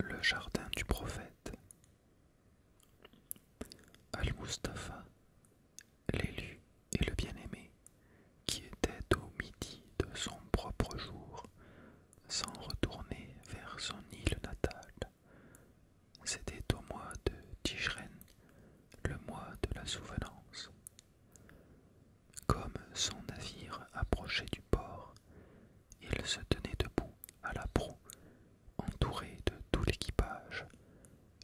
Le jardin du prophète Al-Mustapha, l'élu et le bien-aimé, qui était au midi de son propre jour, sans retourner vers son île natale. C'était au mois de Tijren, le mois de la souvenance. Comme son navire approchait du port, il se tenait debout à la proue, entouré de tout l'équipage,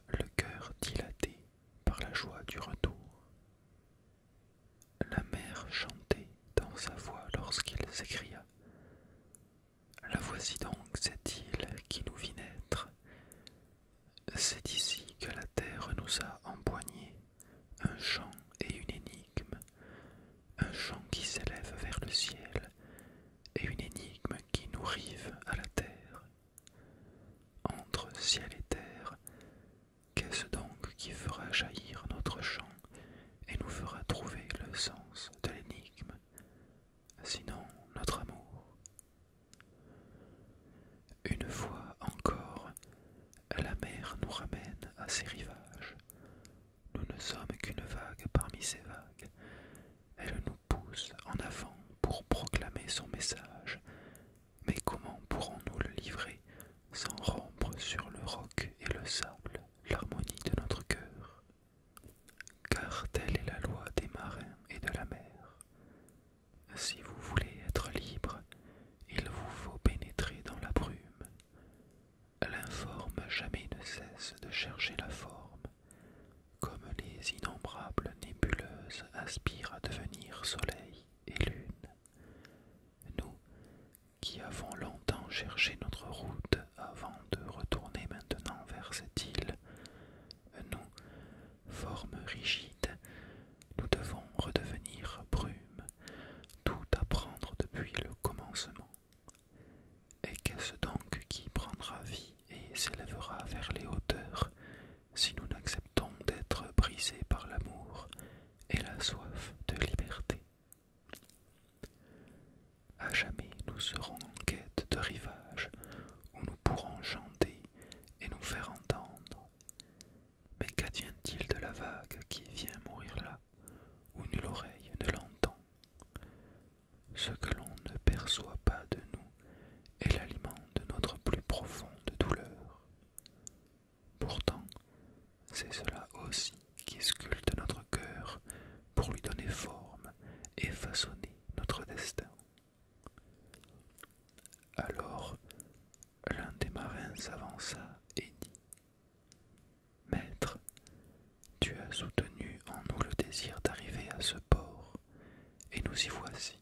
le cœur dilaté par la joie du retour. La mer chantait dans sa voix lorsqu'il s'écria La voici donc cette île qui nous vit naître. C'est ici que la terre nous a empoignés un chant et une énigme, un chant qui s'élève vers le ciel et une énigme qui nous rive à la terre. Entre ciel et terre, qu'est-ce donc qui fera jaillir notre chant et nous fera trouver le sens de l'énigme, sinon notre amour Une fois encore, la mer nous ramène à ses rivages. Nous ne sommes qu'une vague parmi ces vagues. Elle nous pousse en avant pour proclamer son message. Mais comment pourrons-nous le livrer sans rompre sur le roc et le sable l'harmonie de notre cœur Car telle est la loi des marins et de la mer. Si vous voulez être libre, il vous faut pénétrer dans la brume. L'informe jamais ne cesse de chercher la forme, comme les innombrables nébuleuses aspirent à devenir soleil et lune. Nous, qui avons longtemps cherché notre route avant de retourner maintenant vers cette île, nous, forme rigide, nous devons redevenir brume tout apprendre depuis le commencement. Et qu'est-ce donc qui prendra vie et s'élèvera vers les hauteurs si nous n'acceptons d'être brisés par l'amour et la soif de liberté À jamais nous serons en quête de rivage où nous pourrons chanter et nous faire entendre. Mais qu'advient-il de la vague qui vient mourir là où nulle oreille ne l'entend. Ce que l'on ne perçoit pas de nous est l'aliment de notre plus profonde douleur. Pourtant, c'est cela aussi qui sculpte notre cœur pour lui donner forme et façonner notre destin. Alors l'un des marins s'avança et dit Maître, tu as soutenu en nous le désir d'arriver à ce port, et nous y voici.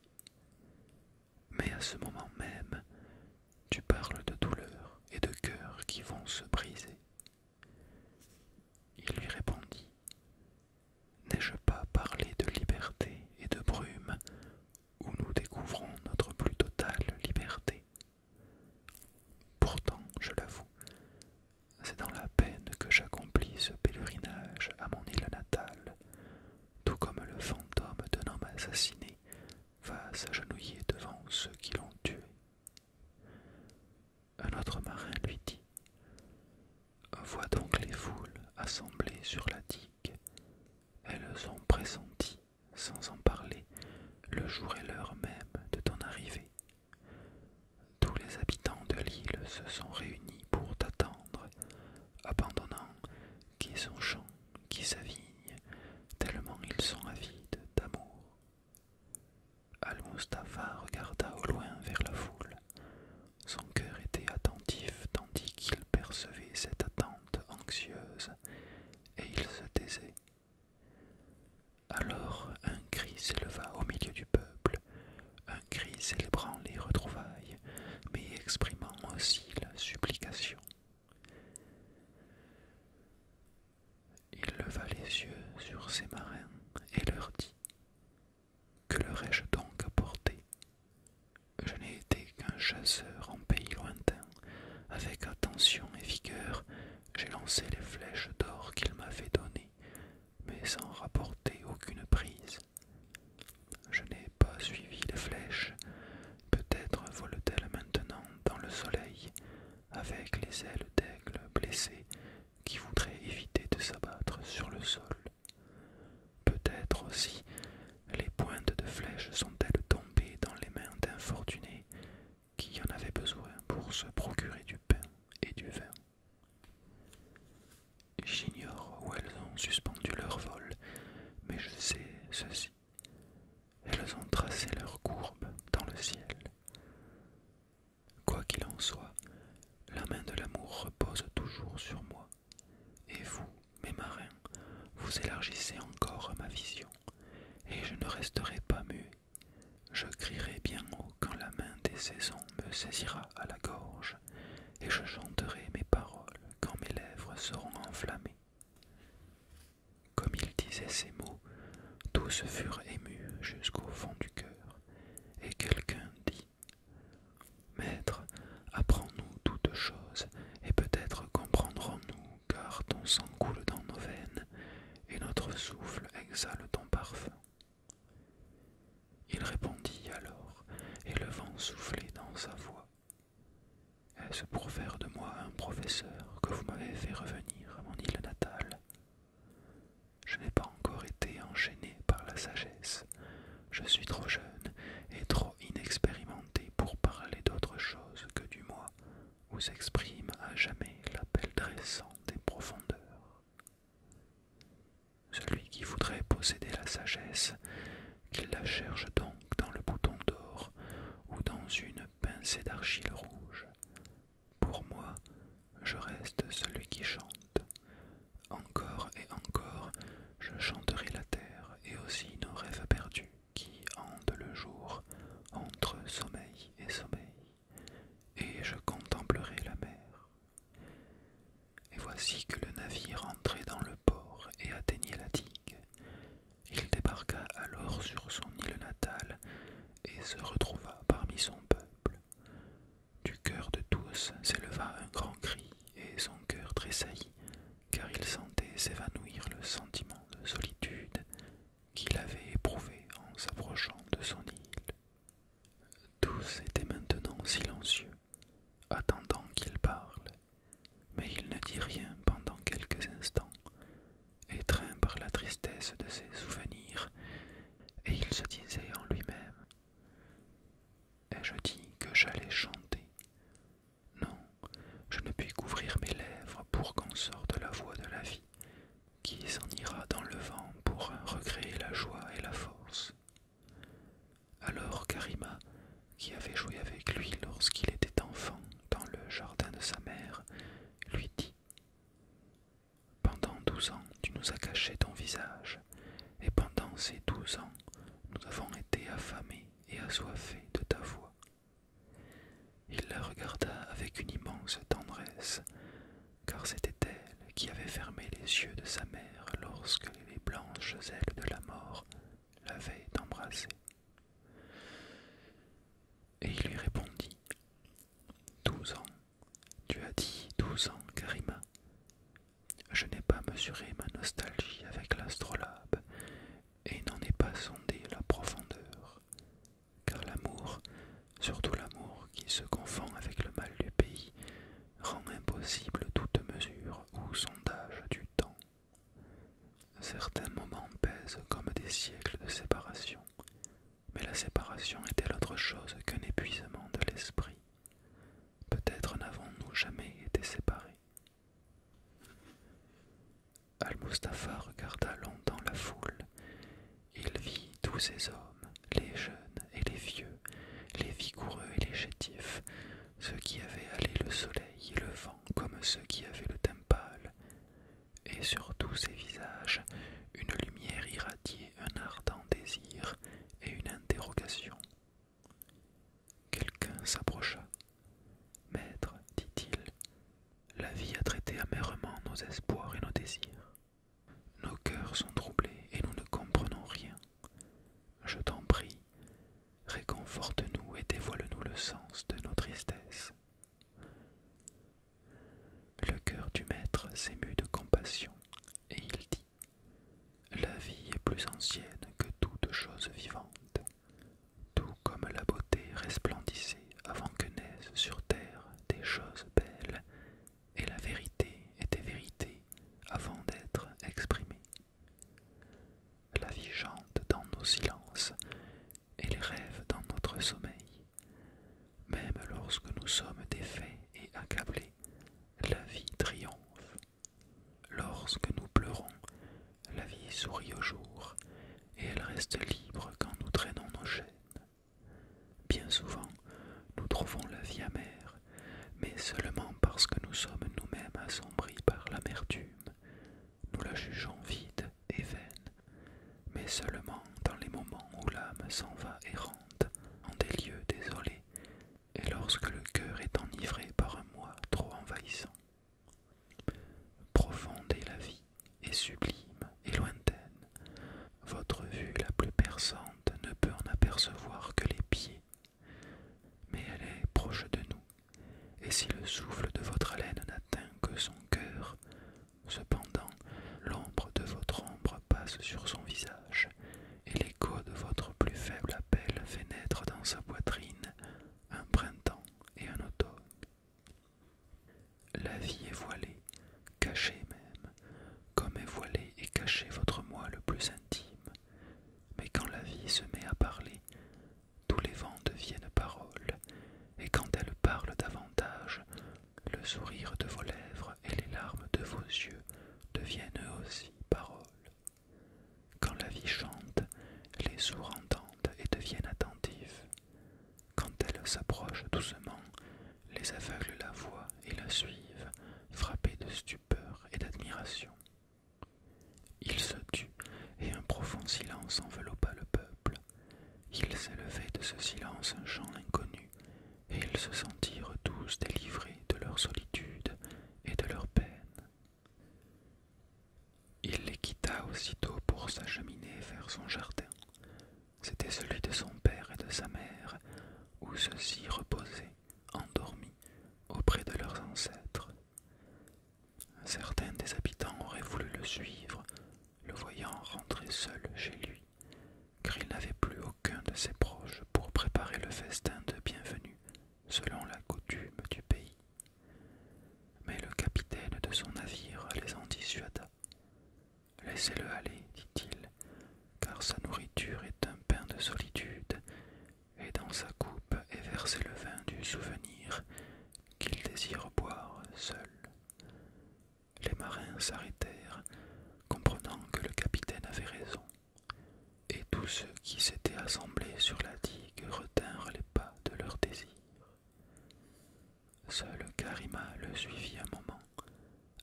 Mais à ce moment même, tu parles de douleurs et de cœurs qui vont se briser. Il lui répondit N'ai-je pas parlé de liberté et de brume où nous découvrons notre plus totale liberté Pourtant, je l'avoue, c'est dans la peine que j'accomplis ce pèlerinage à mon île natale, tout comme le fantôme d'un homme assassiné va s'agenouiller devant ceux qui l'ont tué. Un autre marin lui dit Vois donc les foules assemblées sur la digue, elles ont pressenti sans en parler, le jour et l'heure même de ton arrivée. Tous les habitants de l'île se sont réunis pour t'attendre, abandonnant qui son champ, qui sa vigne, tellement ils sont avides d'amour. Al-Mustafa regarda au loin vers la foule. Son cœur était attentif tandis qu'il percevait cette attente anxieuse, et il se taisait alors un cri s'éleva au milieu du peuple, un cri célébrant les retrouvailles, mais exprimant aussi la supplication. Il leva les yeux sur ses marins et leur dit Que leur ai-je donc apporté Je n'ai été qu'un chasseur en pays lointain, avec attention et vigueur, j'ai lancé les flèches d'or qu'il m'avait données, mais sans rapporter aucune prise. Je n'ai pas suivi les flèches. peut être volent-elles maintenant dans le soleil, avec les ailes d'aigle blessées qui voudraient éviter de s'abattre sur le sol. Peut-être aussi les pointes de flèches sont-elles tombées dans les mains d'infortunés qui en avait besoin pour se procurer du pain et du vin. J'ignore où elles ont suspendu leur vol, mais je sais ceci. Elles ont tracé leur courbe dans le ciel. Quoi qu'il en soit, la main de l'amour repose toujours sur moi, et vous, mes marins, vous élargissez encore ma vision, et je ne resterai pas mu. Je crierai bien haut quand la main des saisons me saisira à la gorge, et je chanterai mes paroles quand mes lèvres seront enflammées. Comme il disait ces mots, tous furent émus jusqu'au fond du cœur, et quelqu'un dit Maître, apprends-nous toutes choses, et peut-être comprendrons-nous car ton sang coule dans nos veines, et notre souffle exhale ton parfum. Il répondit alors, et le vent soufflait dans sa voix. Est-ce pour faire de moi un professeur que vous m'avez fait revenir à mon île natale Je n'ai pas encore été enchaîné par la sagesse. Je suis trop jeune et trop inexpérimenté pour parler d'autre chose que du moi, où s'exprime à jamais l'appel dressant des profondeurs. Celui qui voudrait posséder la sagesse, qu'il la cherche donc dans le bouton d'or ou dans une pincée d'argile rouge. Pour moi, je reste celui qui chante. Encore et encore, je chanterai la terre et aussi nos rêves perdus qui hante le jour entre sommeil et sommeil, et je contemplerai la mer. Et voici que le navire entrait dans le port et atteignait la digue. Il débarqua alors sur son île natale et se retrouva parmi son peuple. Du cœur de tous s'éleva un grand cri et son cœur tressaillit, car il sentait s'évanouir le sentiment de solitude qu'il avait éprouvé en s'approchant de son île. Tous étaient maintenant silencieux, attendant qu'il parle, mais il ne dit rien pendant quelques instants, étreint par la tristesse de ses souvenirs, et il se disait en lui-même Ai-je dit que j'allais chanter Non, je ne puis couvrir mes lèvres pour qu'on sorte la voix de la vie qui s'en ira dans le vent pour recréer la joie et la force. Alors Karima, qui avait joué avec lui lorsqu'il était enfant dans le jardin de sa mère, lui dit Pendant douze ans, tu nous as caché ton visage, et pendant ces douze ans, nous avons été affamés et assoiffés de ta voix. Il la regarda avec une immense tendresse, car c'était elle qui avait fermé les yeux de sa mère lorsque les blanches ailes de la mort l'avaient embrassée. Et il lui répondit Douze ans, tu as dit douze ans, Karima. Je n'ai pas mesuré ma nostalgie avec l'astrolabe et n'en ai pas sondé la profondeur car l'amour, surtout l'amour qui se confond avec le mal du pays, rend impossible toute mesure ou sondage du temps. Certains moments pèsent comme des siècles de séparation, mais la séparation est-elle autre chose qu'un épuisement de l'esprit Peut-être n'avons-nous jamais été séparés. Al-Mustapha regarda longtemps la foule. Il vit tous ces hommes, les jeunes et les vieux, les vigoureux et les chétifs, ceux qui avaient allé le soleil et le vent comme ceux qui avaient le teint pâle, et sur tous ces visages une lumière irradiait un ardent désir et une interrogation. Quelqu'un s'approcha. Maître, dit-il, la vie a traité amèrement nos espoirs et nos désirs. Nos cœurs sont troublés et nous ne comprenons rien. Je t'en prie, réconforte-nous et dévoile-nous le sens de nos tristesses. Le cœur du maître s'émut de compassion et il dit La vie est plus ancienne que toute chose vivante, tout comme la beauté resplendissait avant que naisse sur terre des choses belles, et la vérité est des vérités avant d'être exprimées. La vie chante dans nos silences et les rêves dans notre sommeil. Même lorsque nous sommes défaits et accablés, la vie triomphe. Lorsque nous pleurons, la vie sourit au jour et elle reste libre quand nous traînons nos chaînes. Bien souvent, nous trouvons la vie amère, mais seulement parce que nous sommes nous-mêmes assombris par l'amertume. Nous la jugeons vide et vaine, mais seulement dans les moments où l'âme s'en va errante en des lieux désolés, et lorsque le cœur est enivré par un moi trop envahissant. Profonde la vie, est sublime et lointaine. Votre vue la plus perçante ne peut en apercevoir que les pieds, mais elle est proche de nous, et si le souffle de votre haleine n'atteint que son cœur, cependant l'ombre de votre ombre passe sur son visage, et l'écho de votre plus faible appel fait naître dans sa poitrine un printemps et un automne. La vie est voilée, cachée même, comme est voilée et cachée votre moi le plus intime. Mais quand la vie se met à parler, tous les vents deviennent paroles, et quand elle parle davantage, le sourire de vos lèvres et les larmes de vos yeux deviennent aussi paroles. Quand la vie chante, les sourds entendent et deviennent attentifs. Quand elle s'approche doucement, les aveugles la voient et la suivent, frappés de stupeur et d'admiration. Il se tut, et un profond silence enveloppa le peuple. Il s'élevait de ce silence un chant inconnu, et ils se sentirent tous délivrés de leur solitude et de leur peine. Il les quitta aussitôt pour s'acheminer vers son jardin c'était celui de son père et de sa mère, où ceux-ci reposaient, endormis, auprès de leurs ancêtres. Certains des habitants auraient voulu le suivre, le voyant rentrer seul chez lui, car il n'avait plus aucun de ses proches pour préparer le festin de bienvenue, selon la coutume du pays. Mais le capitaine de son navire les en dissuada. Laissez-le aller, dit-il, car sa nourriture est un pain de solitude, et dans sa coupe est versé le vin du souvenir qu'il désire boire seul. Les marins s'arrêtèrent, comprenant que le capitaine avait raison, et tous ceux qui s'étaient assemblés sur la digue retinrent les pas de leur désir. Seule Karima le suivit un moment,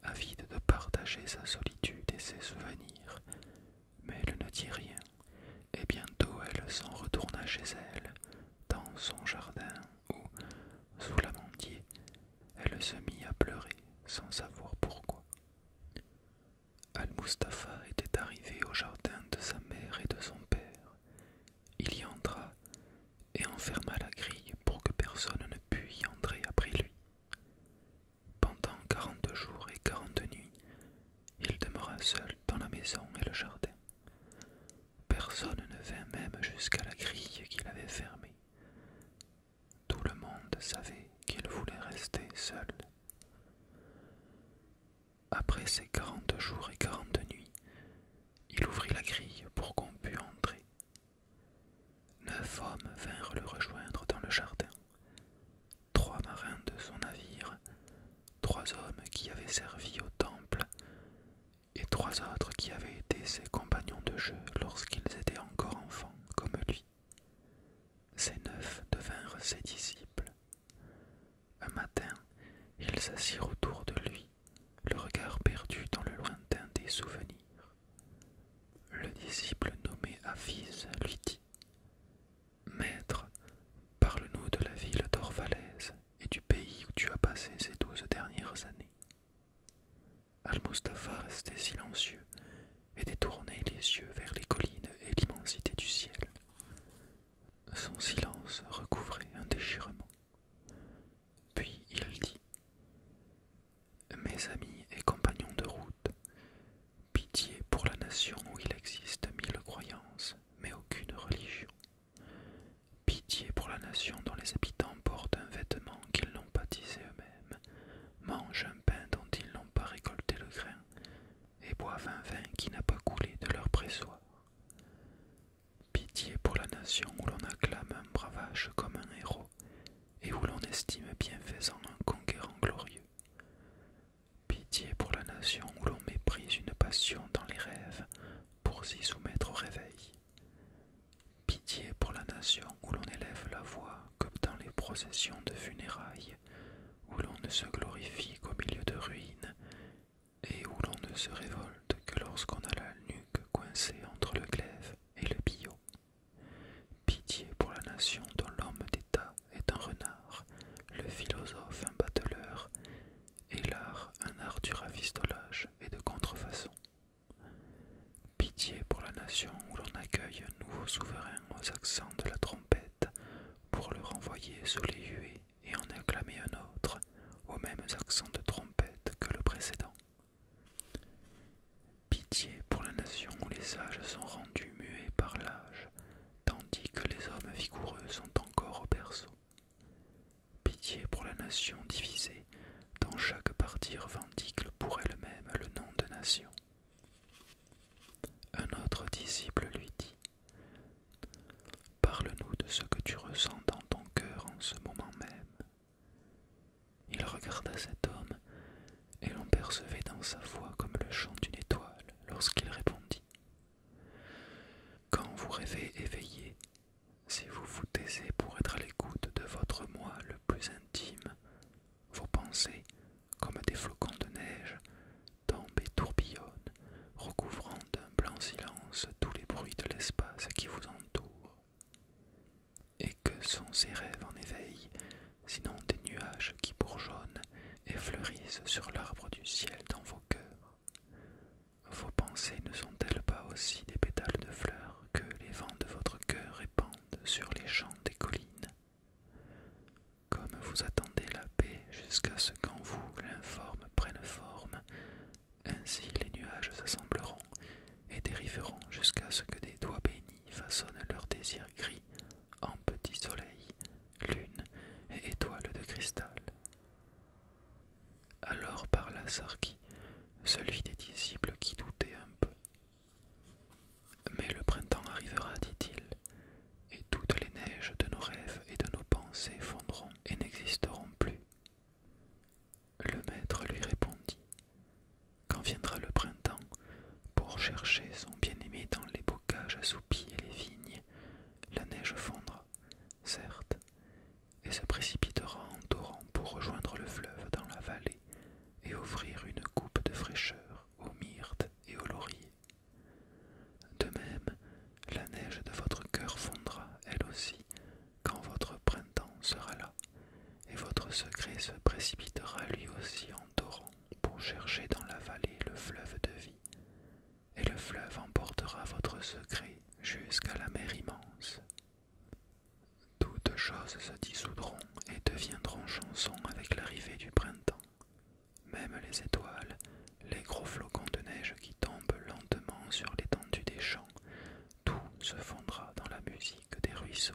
avide de partager sa solitude et ses souvenirs, mais elle ne dit rien, et bientôt elle s'en retourna chez elle, dans son jardin, où, sous l'amandier, elle se mit à pleurer sans savoir pourquoi. Al-Mustapha était arrivé au jardin de sa mère et de son père il y entra et enferma la grille pour que personne ne pût y entrer après lui. Pendant quarante jours et quarante nuits, il demeura seul dans la maison et le jardin. Personne ne vint même jusqu'à la grille qu'il avait fermée. Tout le monde savait qu'il voulait rester seul. Après ces quarante jours et quarante nuits, il ouvrit la grille pour qu'on pût entrer. Neuf hommes vinrent le rejoindre dans le jardin, trois marins de son navire, trois hommes qui avaient servi au temple, et trois autres qui avaient été ses compagnons de jeu lorsqu'ils étaient encore enfants comme lui. Ces neuf devinrent ses disciples. Un matin, ils s'assirent autour de lui le regard perdu dans le lointain des souvenirs. Le disciple nommé Afiz lui dit Maître, parle-nous de la ville d'Orvalaise et du pays où tu as passé ces douze dernières années. Al-Mustapha restait silencieux et détournait les yeux vers les collines et l'immensité du ciel. Son silence recouvrait un déchirement. Puis il dit Mes amis et compagnons de route, pitié pour la nation où il existe mille croyances, mais aucune religion. Pitié pour la nation dont les habitants portent un vêtement qu'ils n'ont pas tissé eux-mêmes, mangent un pain dont ils n'ont pas récolté le grain, et boivent un vin qui n'a pas coulé de leur pressoir. Pitié pour la nation où l'on acclame un bravage comme un héros et où l'on estime bienfaisant un conquérant glorieux. Pitié pour la nation où l'on méprise une passion dans les rêves pour s'y soumettre au réveil. Pitié pour la nation où l'on élève la voix comme dans les processions de funérailles, où l'on ne se glorifie qu'au milieu de ruines, et où l'on ne se révolte que lorsqu'on a la nuque coincée entre le glaive et le billot. Pitié pour la nation dont l'homme d'État est un renard, le philosophe un bateleur, et l'art un art du ravistolage et de contrefaçon. Pitié pour la nation où l'on accueille un nouveau souverain aux accents de la trompette, pour le renvoyer sous les huées et en acclamer un autre, aux mêmes accents de trompette que le précédent. Pitié pour la nation où les âges sont rendus muets par l'âge, tandis que les hommes vigoureux sont encore au berceau. Pitié pour la nation divisée, dont chaque partie revendique pour elle-même le nom de nation. Un autre disciple lui dit Parle-nous de ce que tu ressens dans ton cœur en ce moment même. Il regarda cet homme, et l'on percevait dans sa voix comme le chant d'une étoile lorsqu'il répondit. Quand vous rêvez éveillé, si vous vous taisez pour être à l'écoute de votre moi le plus intime, vos pensées, comme des flocons de neige, tombent et tourbillonnent, recouvrant d'un blanc silence tous les bruits de l'espace qui vous entoure et que sont ces rêves en éveil, sinon des nuages qui bourgeonnent et fleurissent sur l'arbre du ciel dans vos cœurs. Vos pensées ne sont-elles pas aussi des pétales de fleurs que les vents de votre cœur répandent sur les champs des collines Comme vous attendez la paix jusqu'à ce qu'en vous l'informe prenne forme, ainsi les nuages s'assembleront et dériveront jusqu'à ce que des doigts bénis façonnent leurs désirs gris en petits soleils, lune et étoiles de cristal. Alors parla Sarki, celui des disciples qui doutait un peu. Mais le printemps arrivera, dit-il, et toutes les neiges de nos rêves et de nos pensées fondront et n'existeront plus. Le maître lui répondit Quand viendra le printemps pour chercher son bien-aimé dans les bocages assoupis et les vignes, la neige fondra, certes, et se précipitera en torrent pour rejoindre le fleuve dans la vallée et offrir une coupe de fraîcheur aux myrtes et aux lauriers. De même, la neige de votre cœur fondra, elle aussi, quand votre printemps sera là, et votre secret se précipitera lui aussi en torrent pour chercher dans la vallée le fleuve de vie, et le fleuve emportera votre secret jusqu'à la mer immense. Toutes choses se dissoudront et deviendront chansons avec l'arrivée du printemps. Même les étoiles, les gros flocons de neige qui tombent lentement sur l'étendue des champs, tout se fondra dans la musique des ruisseaux.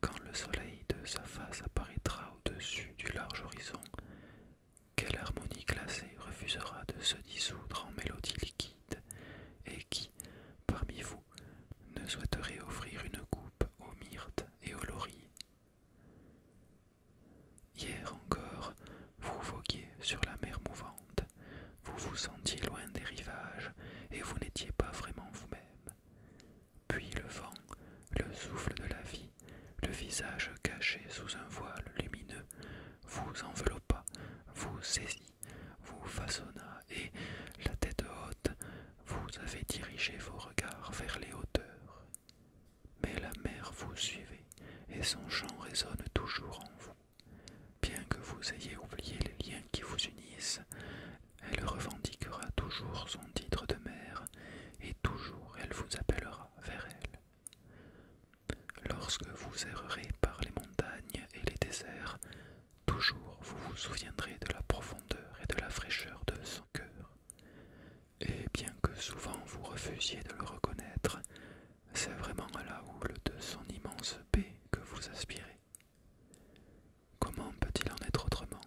Quand le soleil de sa face apparaîtra au-dessus du large horizon, quelle harmonie glacée refusera de se dissoudre en mélodie liquide, et qui, parmi vous, ne souhaiterait offrir une coupe aux myrtes et aux lauriers Hier encore, vous voguiez sur la mer mouvante, vous vous sentiez loin des rivages et vous n'étiez pas vraiment vous-même. Puis le vent, le souffle de la vie, le visage caché sous un voile lumineux, vous enveloppa, vous saisit, vous façonna et, la tête haute, vous avez dirigé vos regards vers les hauteurs. Mais la mer vous suivait et son chant résonne toujours en vous. Bien que vous ayez oublié les liens qui vous unissent, elle revendiquera toujours son titre de mère et toujours elle vous appellera vers elle. Lorsque vous errerez par les montagnes et les déserts, toujours vous vous souviendrez de la profondeur et de la fraîcheur de son cœur. Et bien que souvent vous refusiez de le reconnaître, c'est vraiment à la houle de son immense paix que vous aspirez. Comment peut-il en être autrement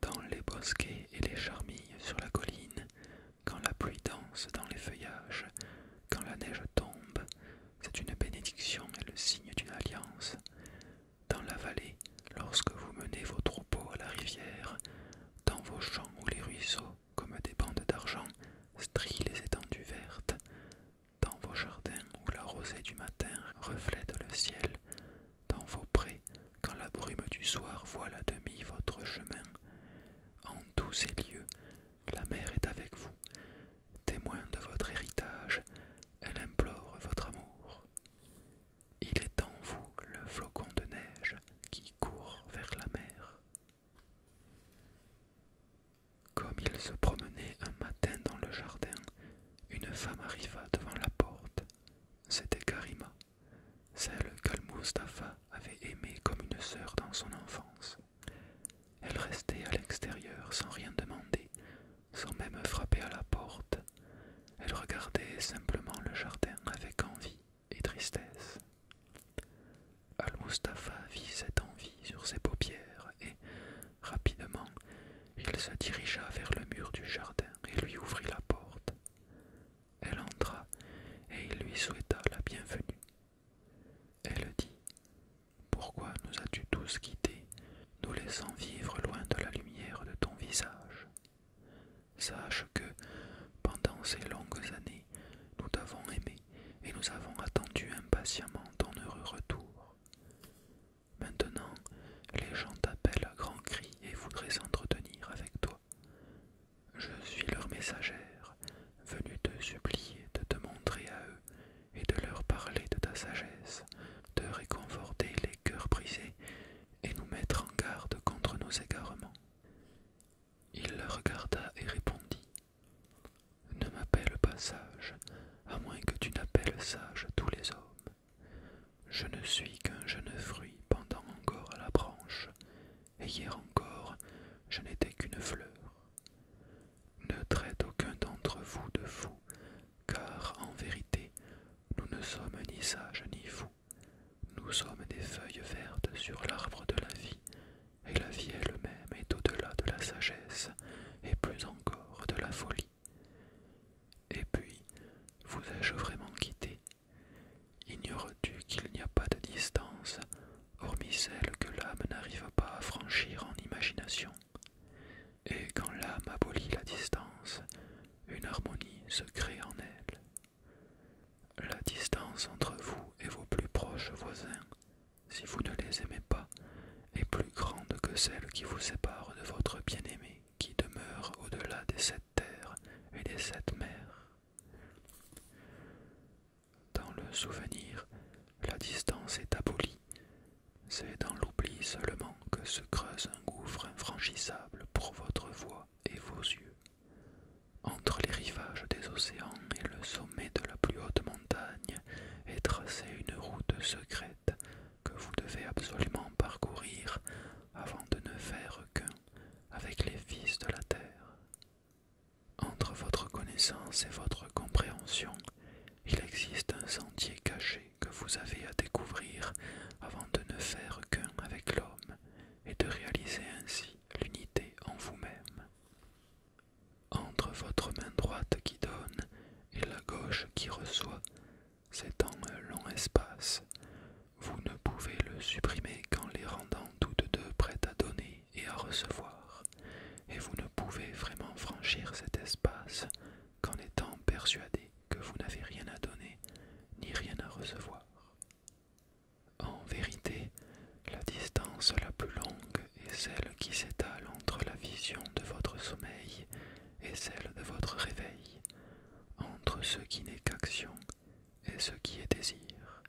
Dans les bosquets et les charmilles sur la colline, quand la pluie danse dans les feuillages, quand la neige tombe, c'est une bénédiction et le signe d'une alliance. Dans la vallée, lorsque vous menez vos troupeaux à la rivière, dans vos champs où les ruisseaux, comme des bandes d'argent, strient les étendues vertes dans vos jardins où la rosée du matin reflète le ciel, dans vos prés quand la brume du soir voile à demi votre chemin. En tous ces lieux, la mer est avec vous, témoin de votre héritage, elle implore votre amour. Il est en vous le flocon de neige qui court vers la mer. Comme il se promenait un matin dans le jardin, une femme arriva devant la porte. C'était Karima, celle qu'Al-Mustafa avait aimée comme une sœur dans son enfance. Elle restait à l'extérieur sans rien demander, sans même frapper à la porte. Elle regardait simplement le jardin avec envie et tristesse. Al-Mustafa vit cette envie sur ses paupières et, Rapidement, il se dirigea vers le mur du jardin et lui ouvrit la porte. Elle entra et il lui souhaita la bienvenue. Elle dit Pourquoi nous as-tu tous quittés, nous laissant vivre loin de la lumière de ton visage Sache que, pendant ces longues années, nous t'avons aimé et nous avons attendu impatiemment ton heureux retour. Maintenant, les gens t'appellent à grands cris et voudraient s'entretenir avec toi. Je suis leur messagère, venue te supplier de te montrer à eux et de leur parler de ta sagesse, de réconforter les cœurs brisés et nous mettre en garde contre nos égarements. Il le regarda et répondit ne m'appelle pas sage, à moins que tu n'appelles sage tous les hommes. Je ne suis qu'un jeune fruit pendant encore à la branche, et hier encore je n'étais qu'une fleur. Ne traite aucun d'entre vous de fou, car en vérité nous ne sommes ni sages ni fous. Nous sommes des feuilles vertes sur l'arbre de la vie, et la vie elle-même est au-delà de la sagesse et plus encore de la folie. Et puis, vous ai-je vraiment quitté Ignores-tu qu'il n'y a pas de distance, hormis celle que l'âme n'arrive pas à franchir en imagination Et quand l'âme abolit la distance, une harmonie se crée en elle. La distance entre vous et vos plus proches voisins si vous ne les aimez pas, est plus grande que celle qui vous sépare de votre bien-aimé, qui demeure au-delà des sept terres et des sept mers. Dans le souvenir, la distance est abolie. C'est dans l'oubli seulement que se creuse un gouffre infranchissable pour votre voix et vos yeux. Entre les rivages des océans et le sommet de la plus haute montagne, et tracer une route secrète que vous devez absolument parcourir avant de ne faire qu'un avec les fils de la terre. Entre votre connaissance et votre compréhension, il existe un sentier caché que vous avez à découvrir avant de ne faire qu'un avec l'homme et de réaliser ainsi l'unité en vous-même entre votre main droite qui donne et la gauche qui reçoit c'est un long espace. Vous ne pouvez le supprimer qu'en les rendant toutes deux prêtes à donner et à recevoir, et vous ne pouvez vraiment franchir cet espace qu'en étant persuadé que vous n'avez rien à donner ni rien à recevoir. En vérité, la distance la plus longue « Et celle qui s'étale entre la vision de votre sommeil et celle de votre réveil, entre ce qui n'est qu'action et ce qui est désir.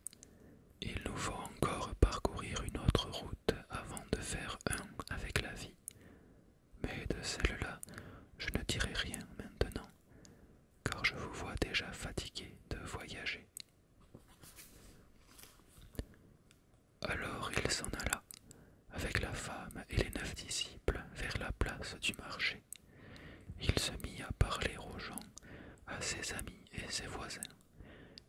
Il nous faut encore parcourir une autre route avant de faire un avec la vie. Mais de celle-là, je ne dirai rien maintenant, car je vous vois déjà fatigué de voyager. Alors il s'en alla, avec la femme et les neuf disciples, vers la place du marché. Il se mit à parler aux gens, à ses amis et ses voisins,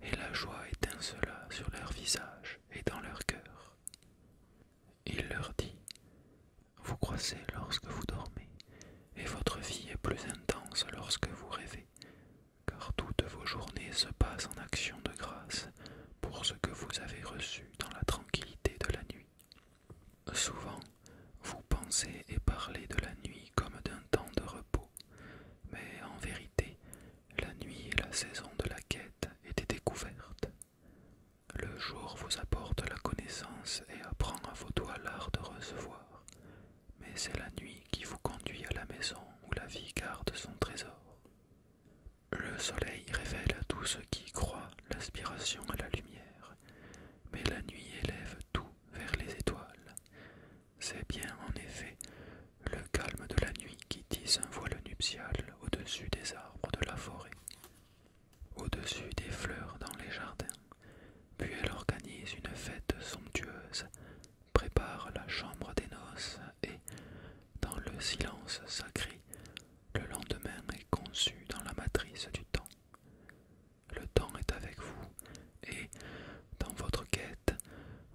et la joie étincela sur leurs visages et dans leurs cœur. Il leur dit Vous croissez lorsque vous dormez, et votre vie est plus intense lorsque vous rêvez, car toutes vos journées se passent en action de grâce pour ce que vous avez reçu dans la tranquillité de la nuit. Souvent, vous pensez et parlez de la nuit comme d'un temps de repos, mais en vérité, la nuit et la saison de la quête étaient découvertes. Le jour vous apporte la connaissance et apprend à vos doigts l'art de recevoir, mais c'est la nuit qui vous conduit à la maison où la vie garde son trésor. Le soleil révèle à tous ceux qui croit l'aspiration à la lumière, mais la nuit élève tout vers les étoiles. C'est bien en effet le calme de la nuit qui tisse un voile nuptial au-dessus des arbres de la forêt, au-dessus des fleurs dans les jardins, puis elle organise une fête somptueuse, prépare la chambre des noces et, dans le silence sacré, le lendemain est conçu dans la matrice du temps. Le temps est avec vous et, dans votre quête,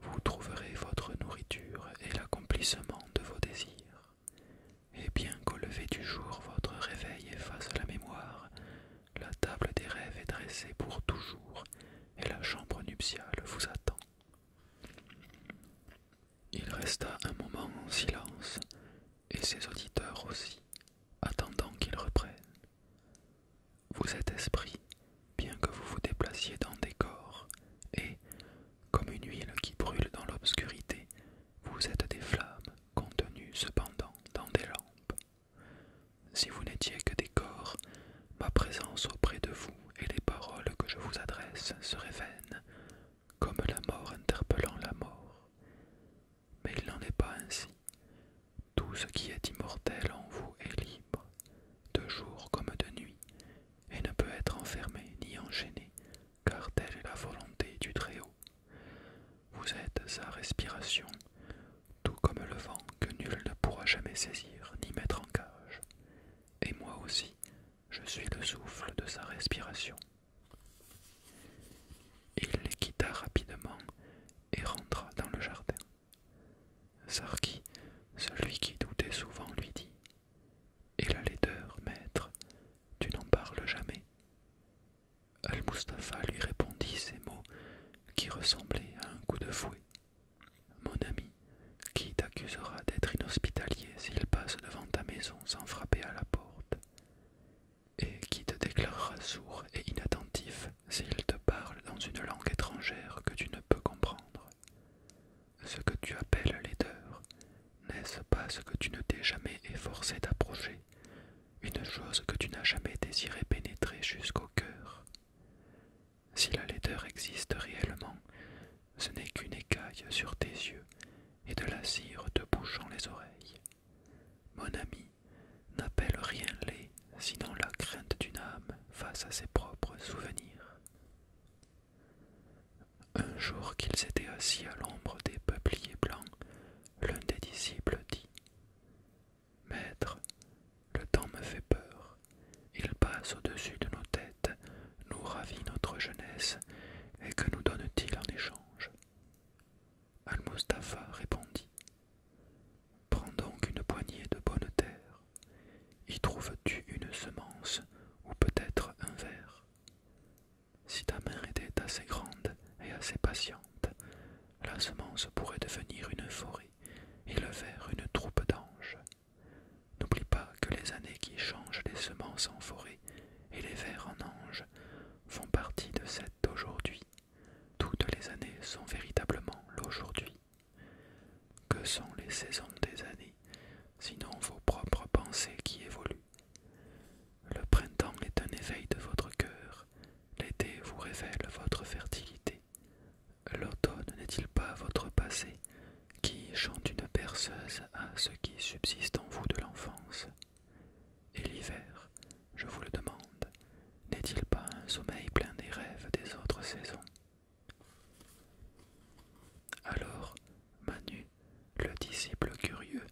vous trouverez votre nourriture et l'accomplissement de vos désirs. Et bien qu'au lever du jour votre réveil efface la mémoire, la table des rêves est dressée pour toujours et la chambre nuptiale vous attend. Il resta un moment en silence, et ses auditeurs aussi, attendant qu'il reprenne. Vous êtes esprit, bien que vous vous déplaciez dans des corps, et, comme une huile qui brûle dans l'obscurité, vous êtes des flammes contenues cependant dans des lampes. Si vous n'étiez que des corps, ma présence auprès de vous et les paroles que je vous adresse seraient vaines comme la mort interpellant la mort. Mais il n'en est pas ainsi. Tout ce qui est immortel en vous est libre, de jour comme de nuit, et ne peut être enfermé ni enchaîné, car telle est la volonté du Très-Haut. Vous êtes sa respiration, tout comme le vent que nul ne pourra jamais saisir ni mettre en cage. Et moi aussi, je suis le souffle de sa respiration. Il les quitta rapidement et rentra dans le jardin. Sarki, celui qui doutait souvent, lui dit Et la laideur, maître, tu n'en parles jamais Al-Mustapha lui répondit ces mots qui ressemblaient à un coup de fouet. Mon ami, qui t'accusera d'être inhospitalier s'il passe devant ta maison sans frapper à la porte, et qui te déclarera sourd et inattentif s'il te parle dans une langue étrangère que tu ne peux comprendre. Ce que tu appelles laideur, n'est-ce pas ce que tu ne t'es jamais efforcé d'approcher, une chose que tu n'as jamais désiré pénétrer jusqu'au cœur si la laideur existe réellement, ce n'est qu'une écaille sur tes yeux et de la cire te bouchant les oreilles. Mon ami, n'appelle rien laid sinon la crainte d'une âme face à ses propres souvenirs. Un jour qu'ils étaient assis à l'ombre des peupliers blancs, l'un des disciples dit Maître, le temps me fait peur, il passe au-dessus de nos têtes nous ravit notre jeunesse, et que nous donne-t-il en échange Al-Mustapha répondit Prends donc une poignée de bonne terre, y trouves-tu une semence ou peut-être un ver ?»« Si ta main était assez grande et assez patiente, la semence pourrait devenir une forêt et le ver une troupe d'anges. N'oublie pas que les années qui changent les semences en forêt et les vers en anges font partie de cet aujourd'hui. Toutes les années sont véritablement l'aujourd'hui. Que sont les saisons des années, sinon vos propres pensées qui évoluent Le printemps est un éveil de votre cœur, l'été vous révèle votre fertilité. L'automne n'est-il pas votre passé, qui chante une berceuse à ce qui subsiste en vous de l'enfance. Et l'hiver, je vous le demande, n'est-il pas un sommeil plein des rêves des autres saisons Alors, Manu, le disciple curieux,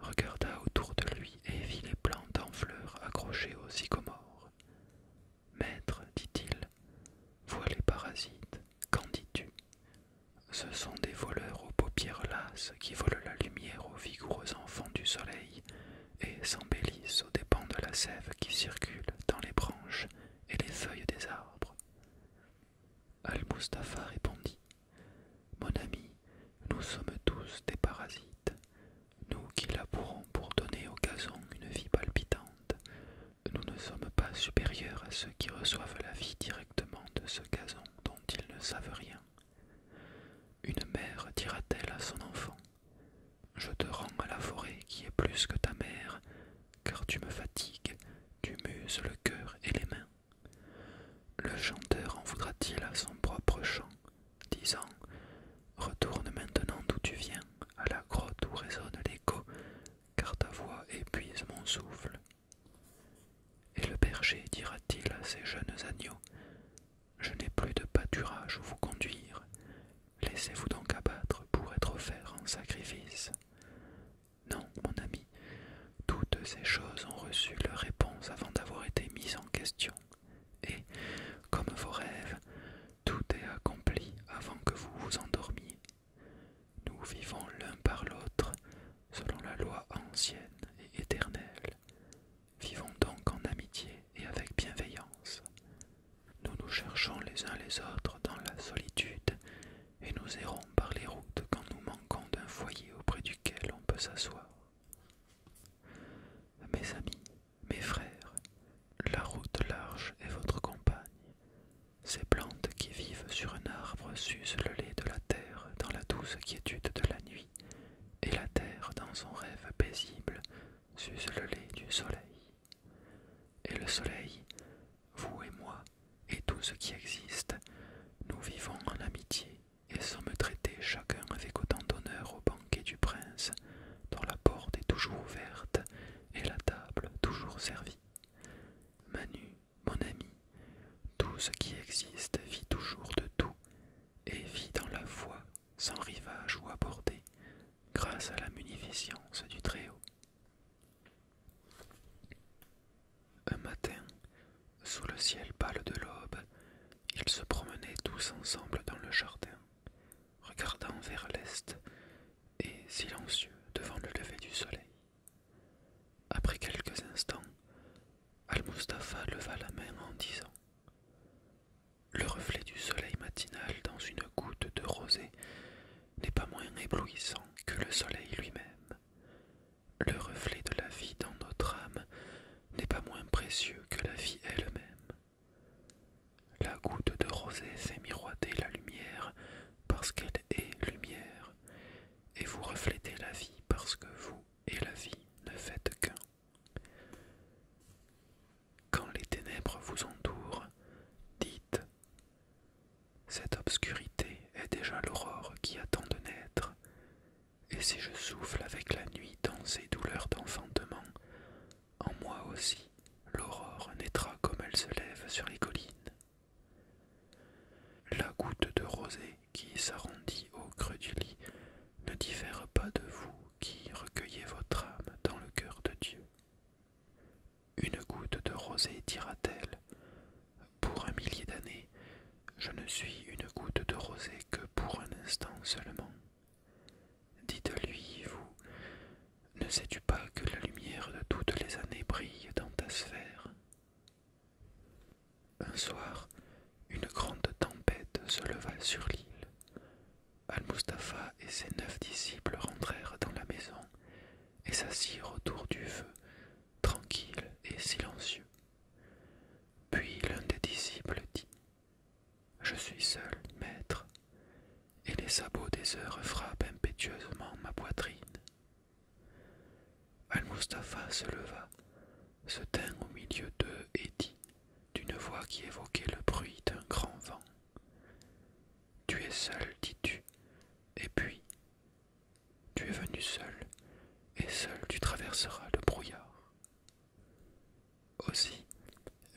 regarda autour de lui et vit les plantes en fleurs accrochées aux sycomores. Maître, dit-il, vois les parasites, qu'en dis-tu ce sont des voleurs aux paupières lasses qui volent la lumière aux vigoureux enfants du soleil et s'embellissent aux dépens de la sève qui circule dans les branches et les feuilles des arbres. Al-Mustapha répondit Mon ami, nous sommes tous des parasites, nous qui labourons pour donner au gazon une vie palpitante, nous ne sommes pas supérieurs à ceux qui reçoivent la vie directement de ce gazon dont ils ne savent rien. Une mère dira-t-elle à son enfant Je te rends à la forêt qui est plus que ta mère, car tu me fatigues, tu muses le cœur et les mains. Le chanteur en voudra-t-il à son propre chant, disant Retourne maintenant d'où tu viens, à la grotte où résonne l'écho, car ta voix épuise mon souffle. Et le berger dira-t-il à ces jeunes agneaux Je n'ai plus de pâturage où vous conduire, laissez-vous donc abattre pour être offert en sacrifice. Non, mon ami, toutes ces choses ont reçu leur réponse avant d'avoir été mises en question, et, comme vos rêves, tout est accompli avant que vous vous endormiez. Nous vivons l'un par l'autre selon la loi ancienne et éternelle. Vivons donc en amitié et avec bienveillance. Nous nous cherchons les uns les autres dans la solitude et nous errons par les routes quand nous manquons d'un foyer auprès duquel on peut s'asseoir. Mes amis, mes frères, la route large est votre compagne, ces plantes qui vivent sur un arbre s'usent le lait de la terre dans la douce quiétude de la nuit, et la terre dans son rêve paisible s'use le lait du soleil. Et le soleil, vous et moi, et tout ce qui existe, nous vivons en amitié et sans me traiter chacun avec autant d'honneur au banquet du prince, dont la porte est toujours ouverte et la table toujours servie. Manu mon ami, tout ce qui existe vit toujours de tout, et vit dans la voie sans rivage ou abordé, grâce à la munificence du Très-Haut. Un matin, sous le ciel pâle de l'aube, ils se promenaient tous ensemble dans le jardin, regardant vers l'est et silencieux devant le lever du soleil. Après quelques instants, Al-Mustapha leva la main en disant Le reflet du soleil matinal dans une goutte de rosée n'est pas moins éblouissant que le soleil lui-même. Le reflet de la vie dans notre âme n'est pas moins précieux que la vie elle-même. La goutte de rosée fait miroiter la lumière parce qu'elle est lumière, et vous reflétez la vie parce que vous et la vie ne faites qu'un. Quand les ténèbres vous entourent, dites Cette obscurité est déjà l'aurore qui attend de naître, et si je souffle avec la nuit dans ces douleurs d'enfantement, en moi aussi l'aurore naîtra comme elle se lève sur les collines. La goutte de rosée qui s'arrondit au creux du lit ne diffère pas de vous qui recueillez votre âme dans le cœur de Dieu. Une goutte de rosée dira-t-elle, pour un millier d'années, je ne suis une goutte de rosée que pour un instant seulement. Dites-lui, vous, ne sais-tu pas que la lumière de toutes les années brille dans ta sphère un soir, une grande tempête se leva sur l'île. Al-Mustapha et ses neuf disciples rentrèrent dans la maison et s'assirent autour du feu, tranquilles et silencieux. Puis l'un des disciples dit Je suis seul, maître, et les sabots des heures frappent impétueusement ma poitrine. Al-Mustapha se leva, se tint au milieu d'eux et dit, d'une voix qui évoquait le bruit d'un grand vent Tu es seul, dis-tu, et puis tu es venu seul, et seul tu traverseras le brouillard. Aussi,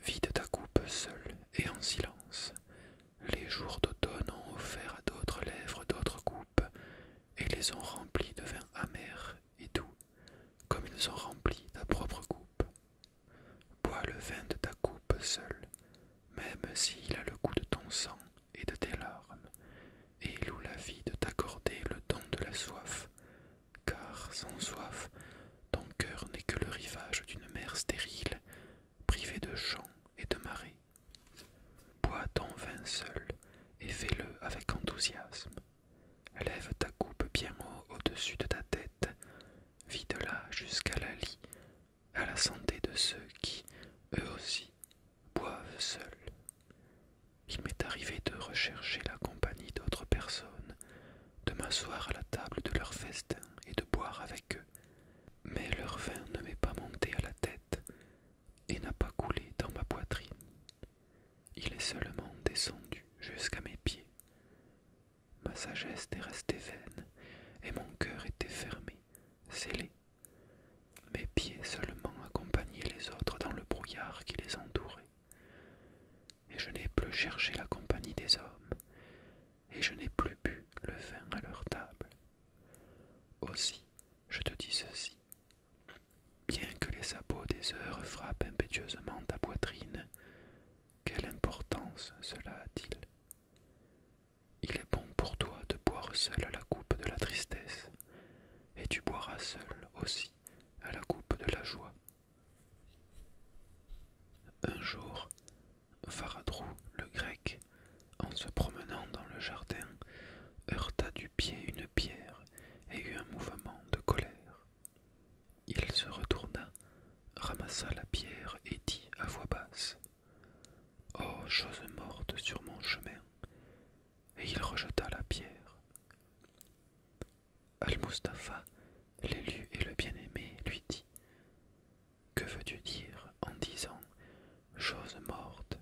vide ta coupe seule et en silence. Les jours d'automne ont offert à d'autres lèvres d'autres coupes, et les ont remplis de vin amer et doux, comme ils ont rempli ta propre coupe. Bois le vin de ta coupe seul, même s'il a le goût de ton sang et de tes larmes, et loue la vie de t'accorder le don de la soif, car sans soif, ton cœur n'est que le rivage d'une mer stérile, privée de champs et de marais. Bois ton vin seul et fais-le avec enthousiasme. Lève ta coupe bien haut au-dessus de ta tête, vide-la jusqu'à la lit, à la santé de ceux qui, eux aussi, boivent seuls. Il m'est arrivé de rechercher la compagnie d'autres personnes, de m'asseoir à la table de leur festin et de boire avec eux, mais leur vin ne m'est pas monté à la tête, et n'a pas coulé dans ma poitrine. Il est seulement descendu jusqu'à mes pieds. Ma sagesse est restée vaine, et mon cœur était fermé, scellé. Mes pieds seulement accompagnaient les autres dans le brouillard qui les entourait. Et je n'ai plus cherché la compagnie des hommes, et je n'ai plus bu le vin à leur table. Aussi je te dis ceci. Bien que les sabots des heures frappent impétueusement ta poitrine, quelle importance cela a-t-il Il est bon pour toi de boire seul à la coupe de la tristesse, et tu boiras seul aussi à la coupe de la joie. Un jour, Faradrou, le grec, en se promenant dans le jardin, heurta du pied une pierre et eut un mouvement de colère. Il se retourna, ramassa la pierre et dit à voix basse Oh, chose morte sur mon chemin Et il rejeta la pierre. Al-Mustapha, l'élu et le bien-aimé, lui dit Que veux-tu dire en disant Chose morte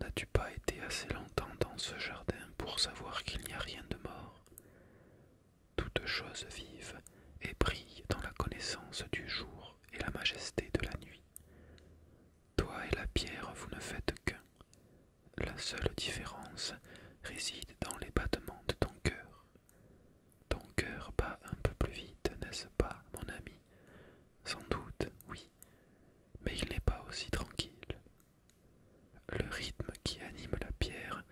N'as-tu pas été assez longtemps dans ce jardin pour savoir qu'il n'y a rien de mort Toute chose vive et brille dans la connaissance du jour et la majesté de la nuit. Toi et la pierre, vous ne faites qu'un. La seule différence réside dans les battements de ton cœur. Ton cœur bat un peu plus vite, n'est-ce pas, mon ami Sans doute, oui mais il n'est pas aussi tranquille. Le rythme qui anime la pierre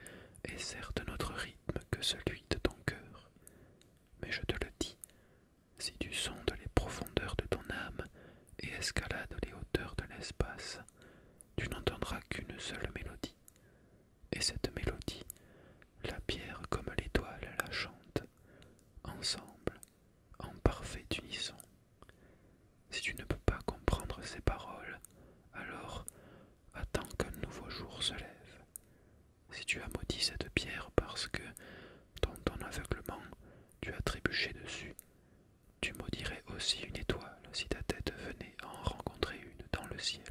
est certes notre rythme que celui de ton cœur, mais je te le dis, si tu sondes les profondeurs de ton âme et escalades les hauteurs de l'espace, tu n'entendras qu'une seule mélodie, et cette mélodie, la pierre comme l'étoile la chante, ensemble, en parfait unisson. Si tu ne peux pas comprendre ces paroles, alors attends qu'un nouveau jour se lève. Si tu as maudit cette pierre parce que, dans ton aveuglement, tu as trébuché dessus, tu maudirais aussi une étoile si ta tête venait à en rencontrer une dans le ciel.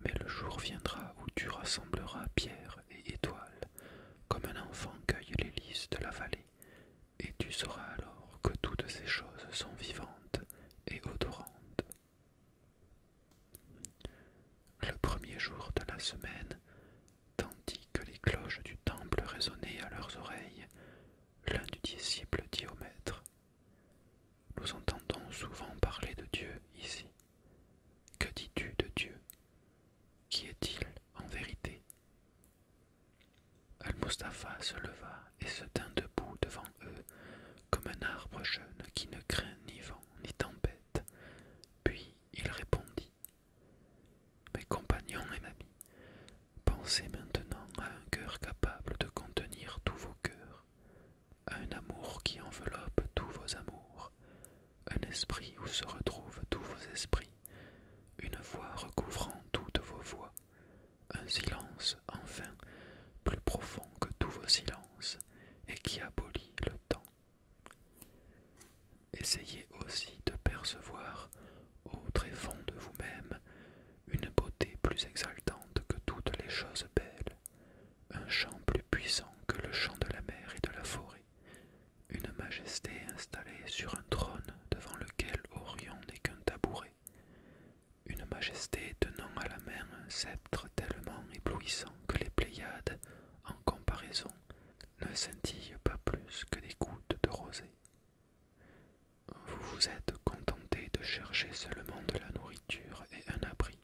Mais le jour viendra où tu rassembleras pierre et étoile comme un enfant cueille les lys de la vallée, et tu sauras alors que toutes ces choses sont vivantes et odorantes. Le premier jour de la semaine, tandis que les cloches du temple résonnaient à leurs oreilles, l'un du disciple dit au maître Nous entendons souvent parler de Dieu ici. Que dis-tu de Dieu qui est-il en vérité Al-Mustapha se leva et se tint debout devant eux, comme un arbre jeune qui ne craint ni vent ni tempête. Puis il répondit Mes compagnons et amis, pensez maintenant à un cœur capable de contenir tous vos cœurs, à un amour qui enveloppe tous vos amours, un esprit où se retrouvent tous vos esprits, une voix recouvrant toutes vos voix, un silence enfin plus profond que tous vos silences et qui abolit le temps. Essayez aussi de percevoir au très fond de vous-même une beauté plus exaltante que toutes les choses belles, un chant plus puissant que le chant de la mer et de la forêt, une majesté installée sur un trône devant lequel Orion n'est qu'un tabouret. Une majesté tenant à la main un sceptre tellement éblouissant que les Pléiades, en comparaison, ne scintillent pas plus que des gouttes de rosée. Vous vous êtes contenté de chercher seulement de la nourriture et un abri,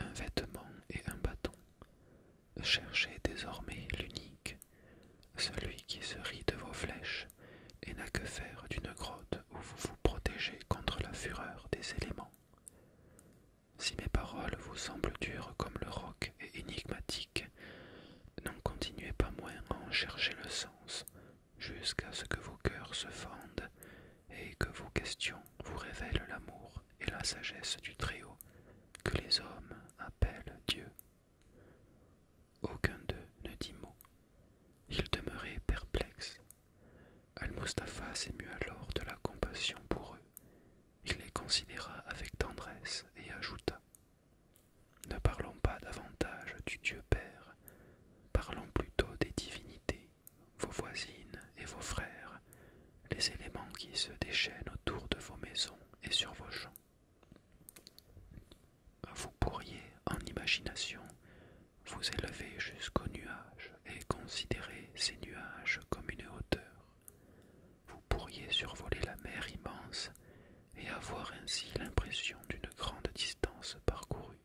un vêtement et un bâton, Cherchez désormais l'unique, celui qui se rit de vos flèches et n'a que faire d'une grotte où vous vous protégez contre la fureur des éléments. Si mes paroles vous semblent dures comme le roc et énigmatiques, n'en continuez pas moins à en chercher le sens, jusqu'à ce que vos cœurs se fendent et que vos questions vous révèlent l'amour et la sagesse du Très-Haut que les hommes appellent Dieu. Aucun d'eux ne dit mot. Ils demeuraient perplexes. Al-Mustapha s'émut alors de la compassion pour eux. Il les considéra avec tendresse et ajouta Ne parlons pas davantage du Dieu Père, parlons plutôt des divinités, vos voisines et vos frères, les éléments qui se déchaînent autour de vos maisons et sur vos champs. Vous pourriez, en imagination, vous élever jusqu'aux nuages et considérer ces nuages comme une hauteur. Vous pourriez survoler la mer immense et avoir ainsi l'impression d'une grande distance parcourue.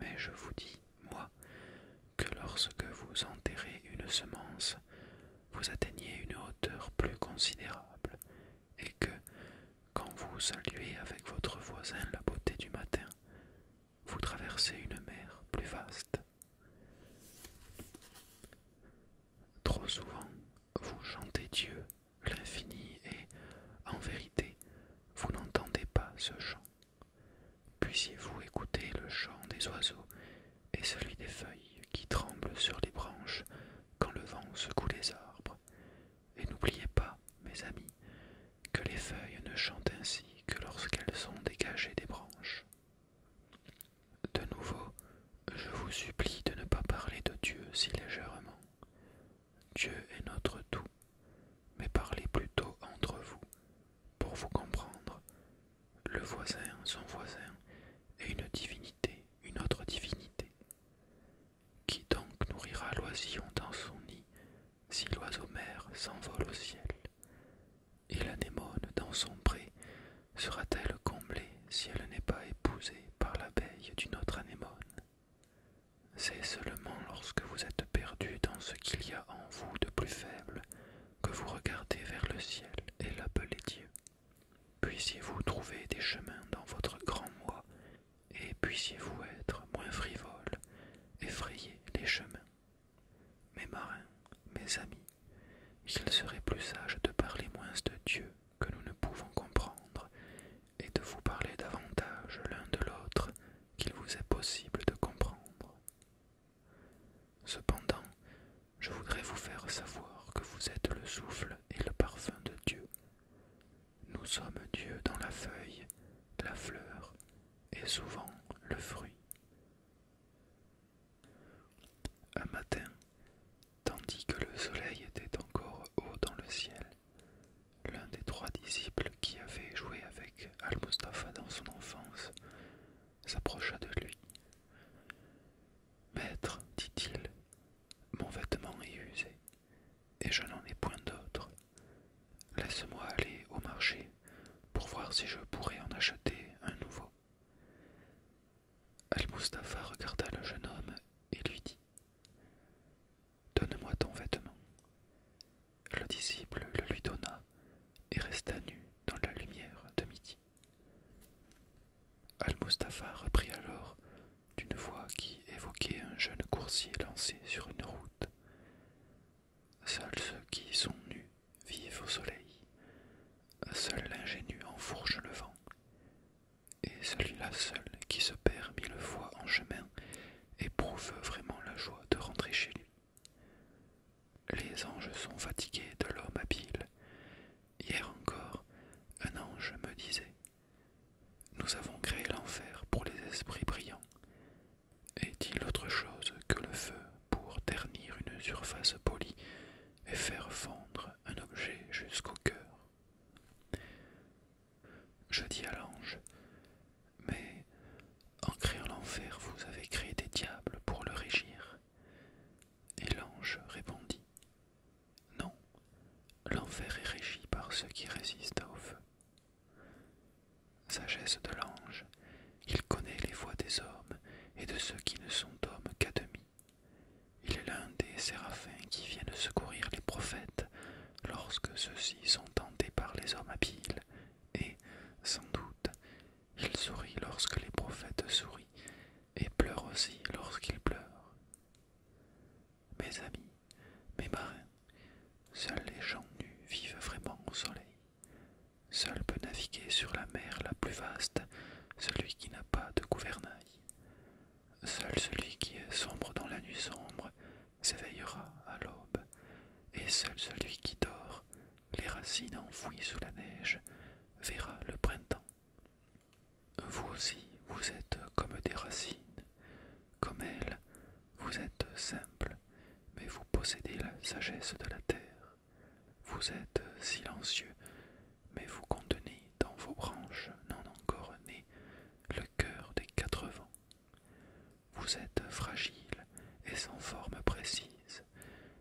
Mais je vous dis, moi, que lorsque vous enterrez une semence, vous atteignez une hauteur plus considérable, et que, quand vous saluez avec votre voisin la beauté du matin, vous traversez une mer plus vaste. Trop souvent, vous chantez Dieu, l'infini, et, en vérité, vous n'entendez pas ce chant. Puissiez-vous écouter le chant des oiseaux et celui des feuilles qui tremblent sur les branches quand le vent secoue les arbres. Et n'oubliez pas, mes amis, que les feuilles ne chantent ainsi que lorsqu'elles sont dégagées des branches. De nouveau, je vous supplie de ne pas parler de Dieu si légèrement. Dieu est notre tout, mais parlez plutôt entre vous, pour vous comprendre, le voisin, son voisin, est une divinité, une autre divinité. Qui donc nourrira l'oisillon dans son nid, si l'oiseau mère s'envole au ciel Et l'anémone dans son pré sera-t-elle comblée si elle n'est pas épousée par l'abeille d'une autre anémone C'est seulement lorsque vous êtes perdu dans ce qu'il y a en vous de plus faible que vous regardez vers le ciel et l'appelez Dieu. Puissiez-vous trouver des chemins dans votre grand moi, et puissiez-vous être moins frivole, effrayer les chemins. Mes marins, mes amis, il serait plus sage de parler moins de Dieu que nous ne pouvons comprendre, et de vous parler davantage l'un de l'autre qu'il vous est possible de comprendre. Cependant, je voudrais vous faire savoir que vous êtes le souffle et le parfum de Dieu. Nous sommes Dieu dans la feuille, la fleur et souvent le fruit. Un matin, tandis que le soleil était encore haut dans le ciel, l'un des trois disciples qui avait joué avec Al-Mustafa dans son enfance s'approcha de lui. Maître, dit-il, mon vêtement est usé, et je n'en ai point d'autre. Laisse-moi aller au marché pour voir si je pourrais en acheter un nouveau. Al-Mustapha regarda le jeune homme et lui dit Donne-moi ton vêtement. Le disciple le lui donna et resta nu dans la lumière de midi. Al-Mustapha reprit alors d'une voix qui évoquait un jeune coursier lancé sur une route. Seuls ceux qui sont nus vivent au soleil, seul l'ingénu enfourche le vent, et celui-là seul qui se perd mille fois en chemin éprouve vraiment la joie de rentrer chez lui. Les anges sont fatigués de l'homme habile, Hier encore, un ange me disait Nous avons créé l'enfer pour les esprits brillants. Est-il autre chose que le feu pour ternir une surface polie et faire fondre un objet jusqu'au cœur Je dis à l'ange Mais en créant l'enfer, vous avez créé des diables pour le régir. Et l'ange répondit non, l'enfer est régi par ceux qui résistent au feu. Sagesse de l'ange, il connaît les voies des hommes et de ceux qui ne sont hommes qu'à demi. Il est l'un des séraphins qui viennent secourir les prophètes lorsque ceux-ci sont tentés par les hommes habiles, et, sans doute, il sourit lorsque les prophètes sourient et pleure aussi lorsqu'il pleure. Mes amis, mes marins, seuls les gens nus vivent vraiment au soleil. Seul peut naviguer sur la mer la plus vaste celui qui n'a pas de gouvernail. Seul celui qui est sombre dans la nuit sombre s'éveillera à l'aube, et seul celui qui dort, les racines enfouies sous la neige, verra le printemps. Vous aussi, vous êtes comme des racines. Comme elles, vous êtes simples, mais vous possédez la sagesse de la terre. Vous êtes silencieux, mais vous contenez dans vos branches non encore nées le cœur des quatre vents. Vous êtes fragile et sans forme précise,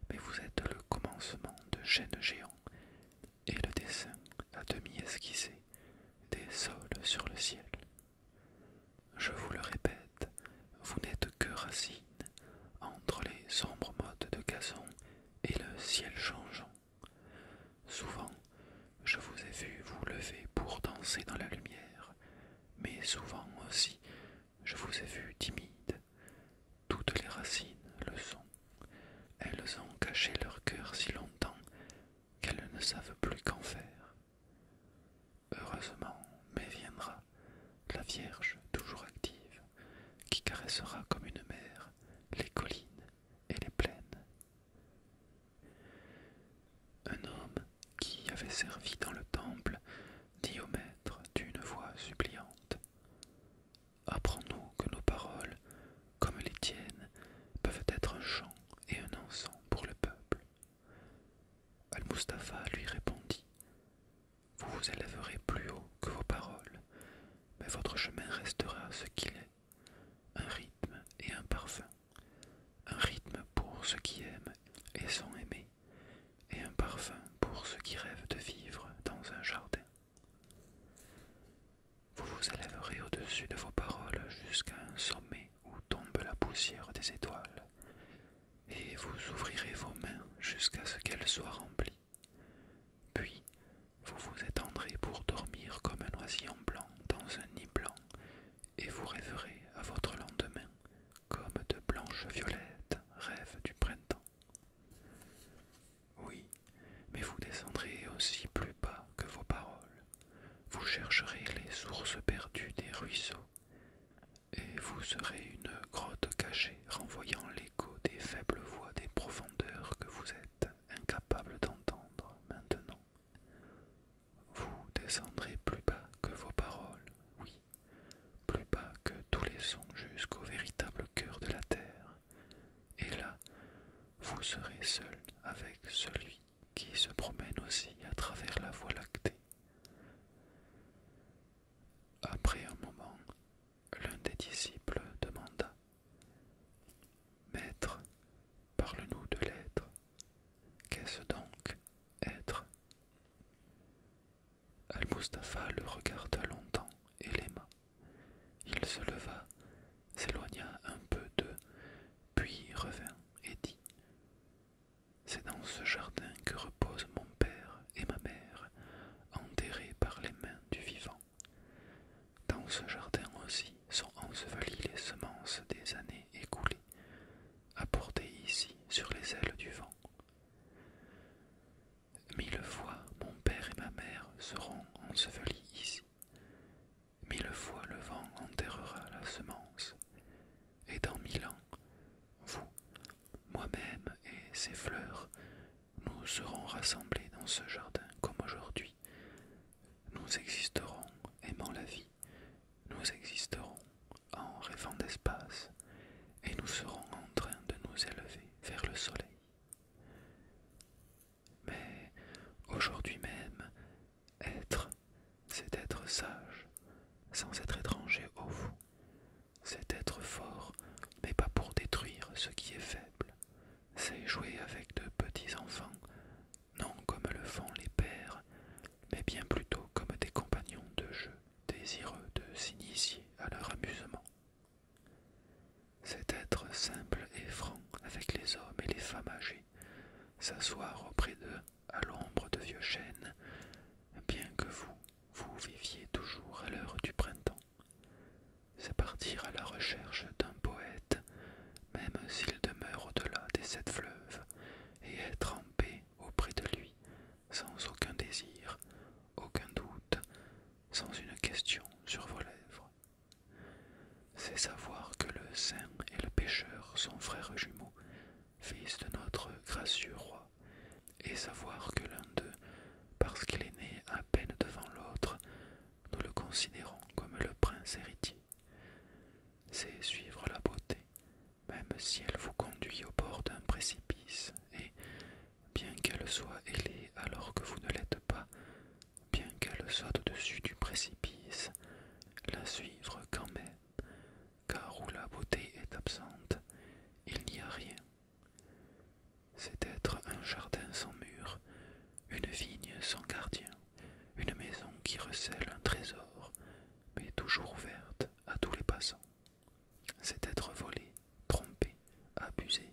mais vous êtes le commencement de chaînes géants et le dessin à demi esquissé des sols sur le ciel. Je vous le répète, vous n'êtes que racine entre les sombres modes de gazon et le ciel changeant. Souvent, je vous ai vu vous lever pour danser dans la lumière, mais souvent aussi, je vous ai vu timide toutes les racines le sont. Elles ont caché leur cœur si longtemps qu'elles ne savent plus qu'en faire. Heureusement, mais viendra la Vierge toujours active, qui caressera comme une mère les collines et les plaines. Un homme qui avait servi dans le temple dit au maître d'une voix suppliante Apprends-nous que nos paroles, comme les tiennes, peuvent être un chant et un encens pour le peuple. Al-Mustapha lui répondit Vous vous élèverez plus haut que vos paroles, mais votre chemin restera ce qu'il est un rythme et un parfum, un rythme pour ceux qui aiment et sont aimés, et un parfum pour ceux qui rêvent de vivre dans un jardin. Vous vous élèverez au-dessus de vos paroles jusqu'à un sommet où tombe la poussière des étoiles, et vous ouvrirez vos mains jusqu'à ce qu'elles soient remplies. Puis vous vous étendrez pour dormir comme un oisillon blanc dans un nid blanc, et vous rêverez à votre lendemain comme de blanches violettes rêvent du printemps. Oui, mais vous descendrez aussi plus bas que vos paroles. Vous chercherez les sources perdues des ruisseaux, et vous serez une grotte cachée renvoyant l'écho des faibles voix des profondeurs que vous êtes incapables d'entendre maintenant. Vous descendrez plus bas que vos paroles, oui, plus bas que tous les sons jusqu'au véritable cœur de la terre, et là, vous serez seul avec celui qui se promène aussi à travers la voie lactée. Après un moment, l'un des disciples demanda Maître, parle-nous de l'être. Qu'est-ce donc être Al-Mustafa le regarda longtemps et l'aima. Il se leva, s'éloigna un peu d'eux, puis revint et dit C'est dans ce jardin que reposent mon père et ma mère, enterrés par les mains du vivant. Dans ce jardin aussi sont ensevelies les semences des années écoulées, apportées ici sur les ailes du vent. Mille fois mon père et ma mère seront ensevelis ici. Mille fois le vent enterrera la semence. Et dans mille ans, vous, moi-même et ces fleurs, nous serons rassemblés dans ce jardin comme aujourd'hui. Nous existerons aimant la vie, nous existerons en rêvant d'espace, et nous serons en train de nous élever vers le soleil. Mais aujourd'hui même, être, c'est être sage, sans être étranger au vous. C'est être fort, mais pas pour détruire ce qui est faible. C'est jouer avec de petits enfants, non comme le font les pères, mais bien plutôt comme des compagnons de jeu désireux de s'initier à leur amusement. C'est être simple et franc avec les hommes et les femmes âgées, s'asseoir auprès d'eux à l'ombre de vieux chênes, bien que vous, vous viviez toujours à l'heure du printemps. C'est partir à la recherche d'un poète, même s'il demeure au-delà des sept fleuves, et être en paix auprès de lui, sans aucun désir, aucun doute, sans une question sur vos lèvres. C'est savoir que le saint et le pécheur sont frères jumeaux, fils de notre gracieux roi, et savoir que l'un d'eux, parce qu'il est né à peine devant l'autre, nous le considérons comme le prince héritier. C'est suivre la beauté, même si elle vous conduit au bord d'un précipice, et, bien qu'elle soit ailée alors que vous ne l'êtes pas, bien qu'elle soit au-dessus du précipice, la suivre quand même, car où la beauté est absente, il n'y a rien. C'est être un jardin sans mur, une vigne sans gardien, une maison qui recèle un trésor, mais toujours ouverte à tous les passants. C'est être volé, trompé, abusé,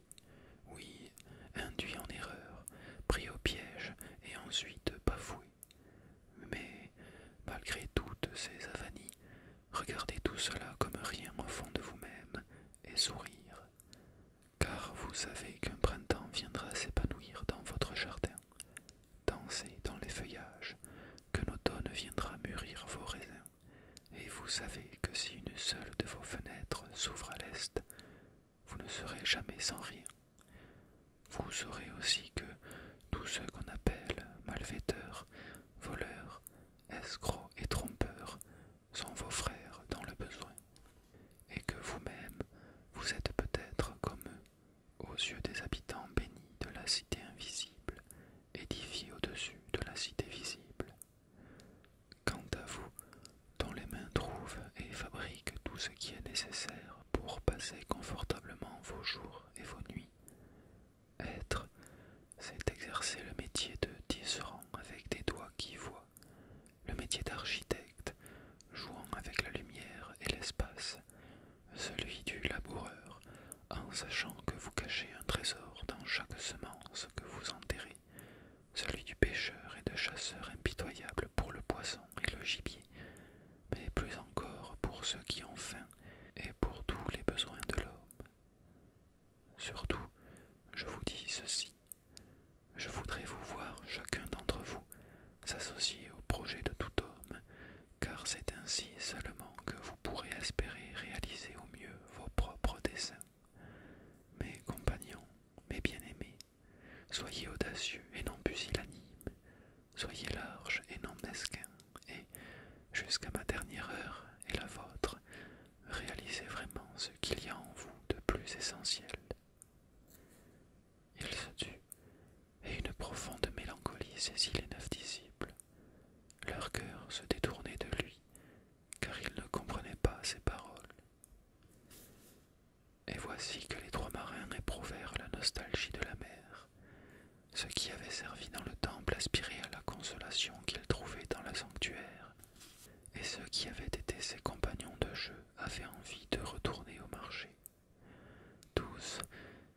oui, induit en erreur, pris au piège et ensuite bafoué. Mais, malgré toutes ces avanies, regardez tout cela comme rien au fond de vous-même et sourire, car vous savez qu'un printemps viendra s'épanouir dans votre jardin, danser dans les feuillages, que l'automne viendra mûrir vos raisins, et vous savez que si une seule de vos fenêtres s'ouvre à l'est, vous ne serez jamais sans rien. Vous saurez aussi que tous ceux qu'on appelle malfaiteurs, voleurs, escrocs et trompeurs sont vos frères dans le besoin, et que vous-même, vous êtes peut-être comme eux, aux yeux des habitants bénis de la cité invisible, édifiés au-dessus de la cité visible, Quant à vous, dont les mains trouvent et fabriquent tout ce qui est nécessaire pour passer confortablement vos jours et vos nuits, être, c'est exercer le métier de tisserand avec des doigts qui voient, le métier d'architecte, jouant avec la lumière et l'espace, celui du laboureur, en sachant que vous cachez un trésor dans chaque semence que vous enterrez, celui du pêcheur et de chasseur impitoyable pour le poisson et le gibier, mais plus encore pour ceux qui ont faim et pour tous les besoins de l'homme. Surtout, je vous dis ceci, je voudrais vous voir chacun d'entre vous s'associer au projet de tout homme, car c'est ainsi seulement que vous pourrez espérer réaliser au mieux vos propres desseins. Mes compagnons, mes bien-aimés, Soyez audacieux et non pusillanime, soyez large et non mesquin, et, jusqu'à ma dernière heure et la vôtre, réalisez vraiment ce qu'il y a en vous de plus essentiel. Il se tut, et une profonde mélancolie saisit les neuf disciples. Leur cœur se détournait de lui, car ils ne comprenaient pas ses paroles. Et voici que les trois marins éprouvèrent la nostalgie de la mer, ce qui avait servi dans le temple aspiraient à la consolation qu'ils trouvaient dans le sanctuaire, et ceux qui avaient été ses compagnons de jeu avaient envie de retourner au marché. Tous,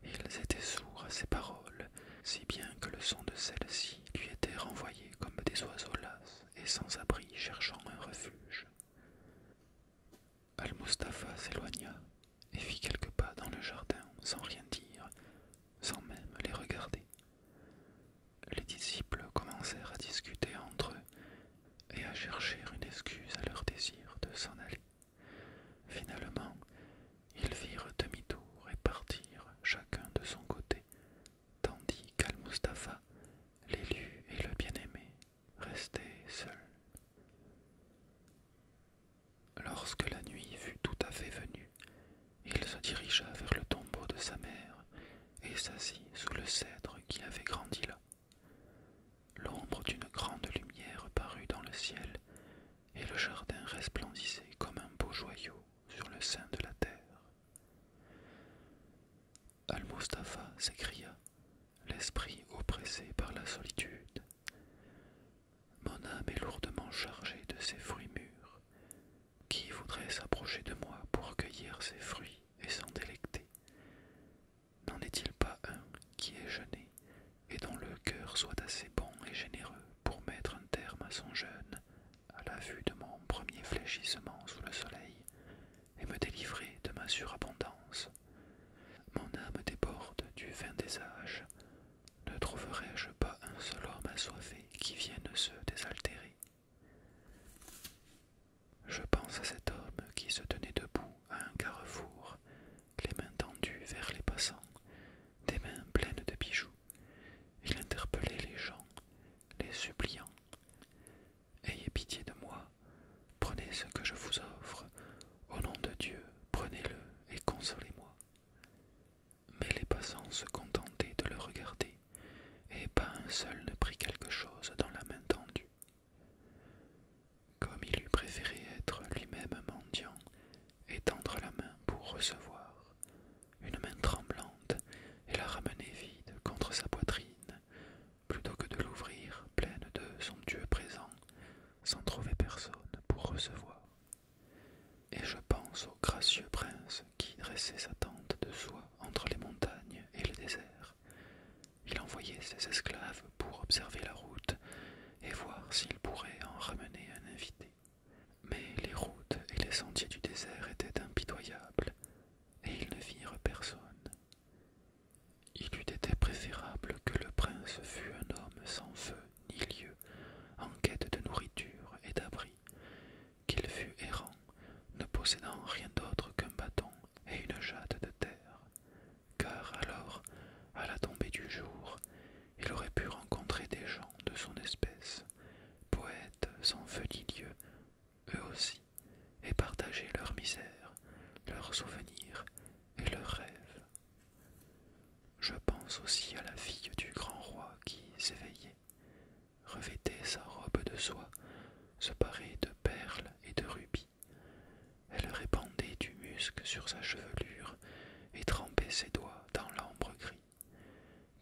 ils étaient sourds à ces paroles, si bien que le son de celles-ci lui était renvoyé comme des oiseaux las et sans abri cherchant un refuge. Al-Mustapha s'éloigna et fit quelques pas dans le jardin sans rien dire, sans même les regarder. Les disciples commencèrent à discuter entre eux et à chercher une excuse à leur désir de s'en aller. Finalement, ils virent demi-tour et partirent chacun de son côté tandis qu'Al-Mustapha, l'élu et le bien-aimé, restaient seuls. Lorsque la nuit fut tout à fait venue, il se dirigea vers le tombeau de sa mère et s'assit sous le cèdre qui avait grandi là. L'ombre d'une grande lumière parut dans le ciel, et le jardin resplendissait comme un beau joyau sur le sein de la terre. Al-Mustapha s'écria, l'esprit oppressé par la solitude. Mon âme est lourdement chargée de ces fruits mûrs. Qui voudrait s'approcher de moi pour cueillir ces fruits et s'en délecter N'en est-il pas un qui est jeûné et dont le cœur soit assez bon et généreux pour mettre un terme à son jeûne à la vue de mon premier fléchissement sous le soleil et me délivrer de ma surabondance. Mon âme déborde du vin des âges. Ne trouverai-je pas un seul homme assoiffé qui vienne se désaltérer Je pense à cet homme qui se tenait debout à un carrefour, les mains tendues vers les passants, des mains pleines de bijoux. Il interpellait les gens, les suppliant. Ayez pitié de moi, prenez ce que je vous offre, au nom de Dieu, prenez-le et consolez-moi. Mais les passants se contentaient de le regarder, et pas un seul ne prit quelque chose dans la main tendue. Comme il eût préféré être lui-même mendiant et tendre la main pour recevoir, une main tremblante et la ramener vide contre sa poitrine, plutôt que de l'ouvrir pleine de somptueux présents, sans trouver personne pour recevoir. Et je pense au gracieux prince qui dressait sa tente de soie entre les montagnes et le désert. Il envoyait ses esclaves pour observer la route et voir s'il pourrait en ramener un invité. Mais les routes et les sentiers du désert étaient impitoyables, et ils ne virent personne. Il eût été préférable que le prince fût un homme sans feu ni lieu, en quête de nourriture et d'abri, qu'il fût errant, ne possédant rien d'autre qu'un bâton et une jatte de terre, car alors, à la tombée du jour, il aurait pu rencontrer des gens de son espèce, poètes sans feu ni lieu, eux aussi, et partager leur misère, leurs souvenirs et leurs rêves. Je pense aussi à la fille du grand roi qui s'éveillait, revêtait sa robe de soie, se parait de perles et de rubis. Elle répandait du musc sur sa chevelure et trempait ses doigts dans l'ambre gris.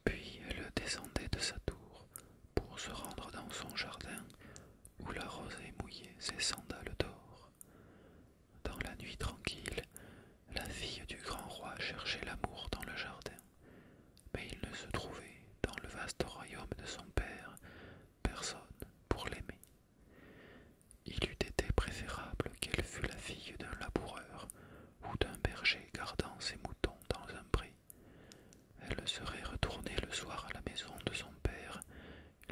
Puis elle descendait de sa tour pour se rendre dans son jardin où la rose est mouillée, ses sandales d'or. Dans la nuit tranquille, la fille du grand roi cherchait l'amour dans le jardin, mais il ne se trouvait dans le vaste royaume de son père personne pour l'aimer. Il eût été préférable qu'elle fût la fille d'un laboureur ou d'un berger gardant ses moutons dans un pré, elle serait retournée le soir à la maison de son père,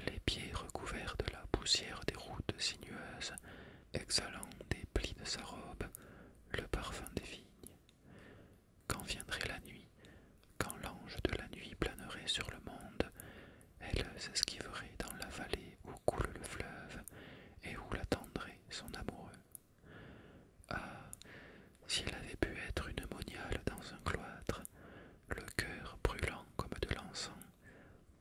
les pieds recouverts de la poussière des routes sinueuses, exhalant des plis de sa robe le parfum des vignes. Quand viendrait la nuit, quand l'ange de la nuit planerait sur le monde, elle s'esquiverait dans la vallée où coule le fleuve et où l'attendrait son amoureux. Ah, si elle avait pu être une moniale dans un cloître, le cœur brûlant comme de l'encens,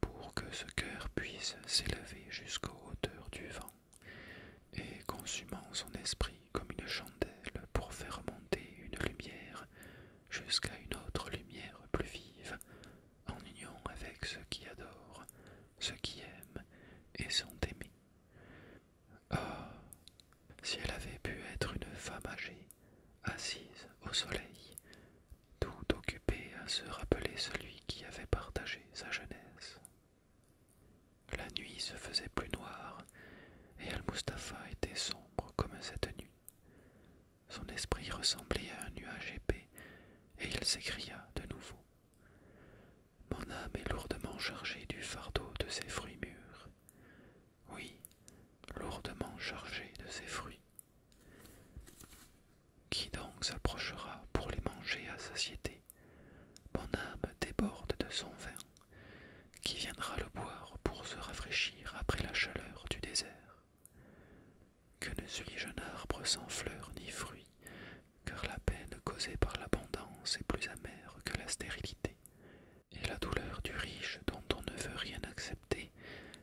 pour que ce cœur puisse s'élever jusqu'aux hauteurs du vent, et consumant son esprit comme une chandelle pour faire monter une lumière jusqu'à une autre lumière plus vive, en union avec ceux qui adorent, ceux qui aiment et sont aimés. Ah. Si elle avait pu être une femme âgée, assise au soleil, tout occupée à se rappeler celui qui avait partagé sa jeunesse. La nuit se faisait plus noire, et Al-Mustapha était sombre comme cette nuit. Son esprit ressemblait à un nuage épais, et il s'écria de nouveau. Mon âme est lourdement chargée du fardeau de ses fruits mûrs oui, lourdement chargé de ses fruits. Qui donc s'approchera pour les manger à satiété Mon âme déborde de son vin. Qui viendra le boire pour se rafraîchir après la chaleur du désert Que ne suis-je un arbre sans fleurs ni fruits, car la peine causée par l'abondance est plus amère que la stérilité, et la douleur du riche dont on ne veut rien accepter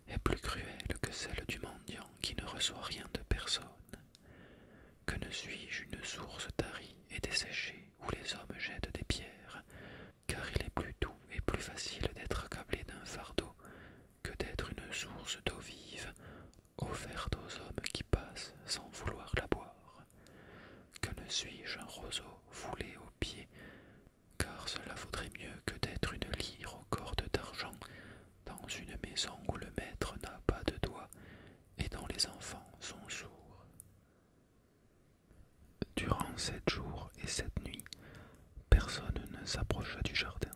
est plus cruelle que celle du mendiant qui ne reçoit rien de personne. Que ne suis-je une source tarie et desséchée où les hommes jettent des pierres, car il est plus doux et plus facile d'être accablé d'un fardeau que d'être une source d'eau vive offerte aux hommes qui passent sans vouloir la boire. Que ne suis-je un roseau foulé aux pieds car cela vaudrait mieux que d'être une lyre aux cordes d'argent dans une maison où le maître n'a pas de doigts et dont les enfants sont sourds. Durant sept jours et sept nuits, personne ne s'approcha du jardin.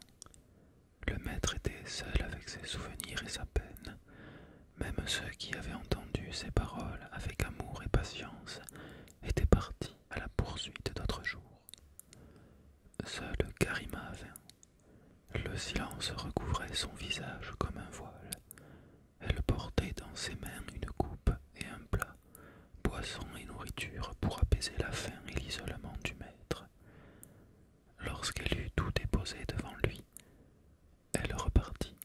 Le maître était seul avec ses souvenirs et sa peine. Même ceux qui avaient entendu ses paroles avec amour et patience était parti à la poursuite d'autres jours. Seul Karima vint. Le silence recouvrait son visage comme un voile. Elle portait dans ses mains une coupe et un plat, boisson et nourriture pour apaiser la faim et l'isolement du maître. Lorsqu'elle eut tout déposé devant lui, elle repartit.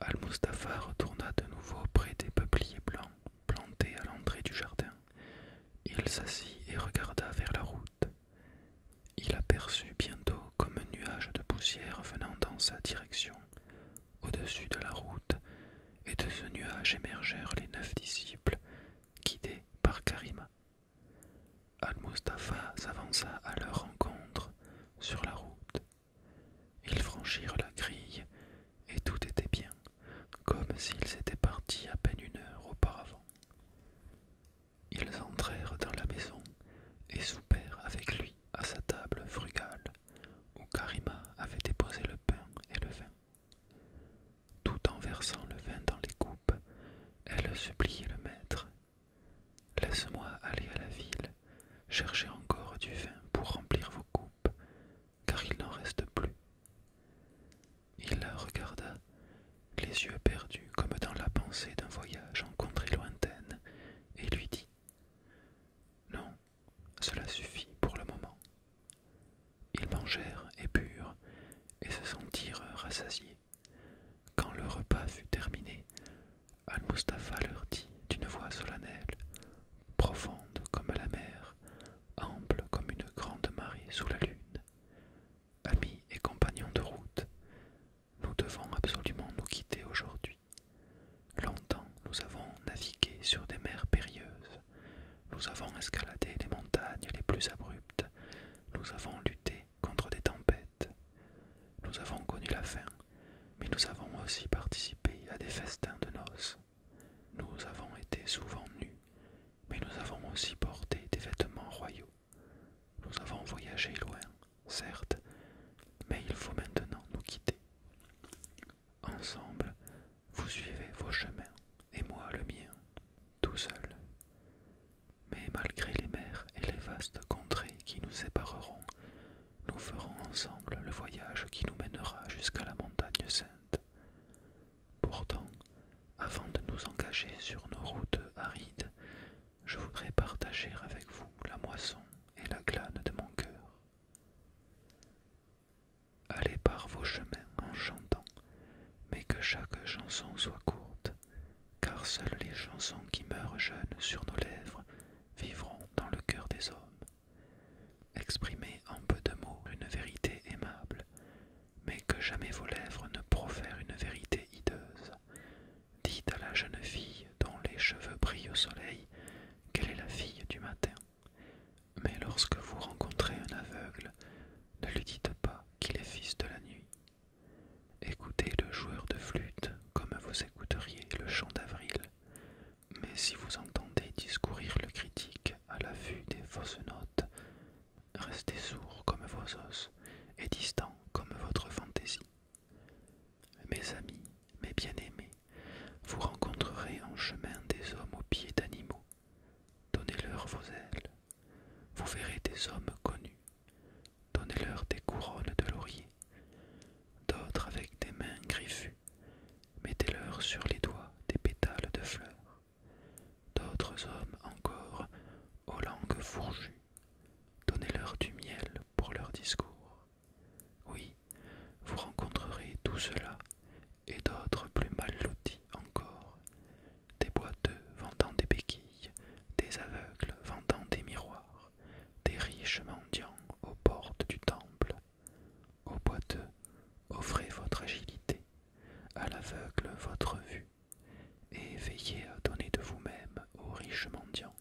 Al-Mustapha retourna de nouveau près des peupliers blancs plantés à l'entrée du jardin. Il s'assit et regarda vers la route. Il aperçut bientôt comme un nuage de poussière venant dans sa direction, au-dessus de la route, et de ce nuage émergèrent les neuf disciples, guidés par Karima. Al-Mustapha s'avança à leur rencontre sur la route. Ils franchirent la grille, et tout était bien, comme s'ils étaient partis à peine une heure auparavant. Ils entrèrent dans la maison et soupèrent avec lui à sa table frugale, où Karima avait déposé le pain et le vin. Tout en versant le vin dans les coupes, elle suppliait le maître. Laisse-moi aller à la ville cherchez encore du vin pour remplir vos coupes, car il n'en reste plus. Il la regarda, les yeux perdus comme dans la pensée d'un voyage en contrée lointaine, et lui dit Non, cela suffit pour le moment. Ils mangèrent et burent, et se sentirent rassasiés. Quand le repas fut terminé, Al-Mustapha leur dit d'une voix solennelle, profonde comme la mer, ample comme une grande marée sous la lune. Amis et compagnons de route, nous devons absolument nous quitter aujourd'hui. Longtemps nous avons navigué sur des mers périlleuses, nous avons escaladé les montagnes les plus abruptes, nous avons lutté contre des tempêtes, nous avons connu la faim, mais nous avons aussi participé à des festins de noces. Nous avons été souvent nus, mais nous avons aussi porté des vêtements royaux. Nous avons voyagé loin, certes, mais il faut maintenant nous quitter. Ensemble, vous suivez vos chemins, et moi le mien, tout seul. Mais malgré les mers et les vastes contrées qui nous sépareront, nous ferons ensemble le voyage qui nous mènera jusqu'à la montagne sainte. Pourtant, avant de nous engager sur nos routes arides, je voudrais partager avec vous la moisson et la glane de mon cœur. Allez par vos chemins en chantant, mais que chaque chanson soit courte, car seules les chansons qui meurent jeunes sur nos lèvres vivront dans le cœur des hommes. Exprimez en peu de mots une vérité aimable, mais que jamais vos lèvres ne profèrent une vérité hideuse. Dites à la jeune fille dont les cheveux brillent au soleil qu'elle est la fille du matin. Mais lorsque vous rencontrez un aveugle, ne lui dites pas qu'il est fils de la nuit. Écoutez le joueur de flûte comme vous écouteriez le chant d'avril mais si vous entendez discourir le critique à la vue des fausses notes, restez sourd comme vos os et distants comme votre fantaisie. Mes amis, mes bien-aimés, vous rencontrerez en chemin des hommes aux pieds d'animaux. Donnez-leur vos ailes. Vous verrez des hommes connus. Donnez-leur des couronnes de laurier. D'autres avec des mains griffues mettez-leur sur les doigts des pétales de fleurs. D'autres hommes encore, aux langues fourjues donnez-leur du miel pour leur discours. Oui, vous rencontrerez tout cela et d'autres plus mal lotis encore, des boiteux vendant des béquilles, des aveugles vendant des miroirs, des riches mendiants aux portes du temple, au boiteux, offrez votre agilité, à l'aveugle votre vue, et veillez à donner de vous-même aux riches mendiants.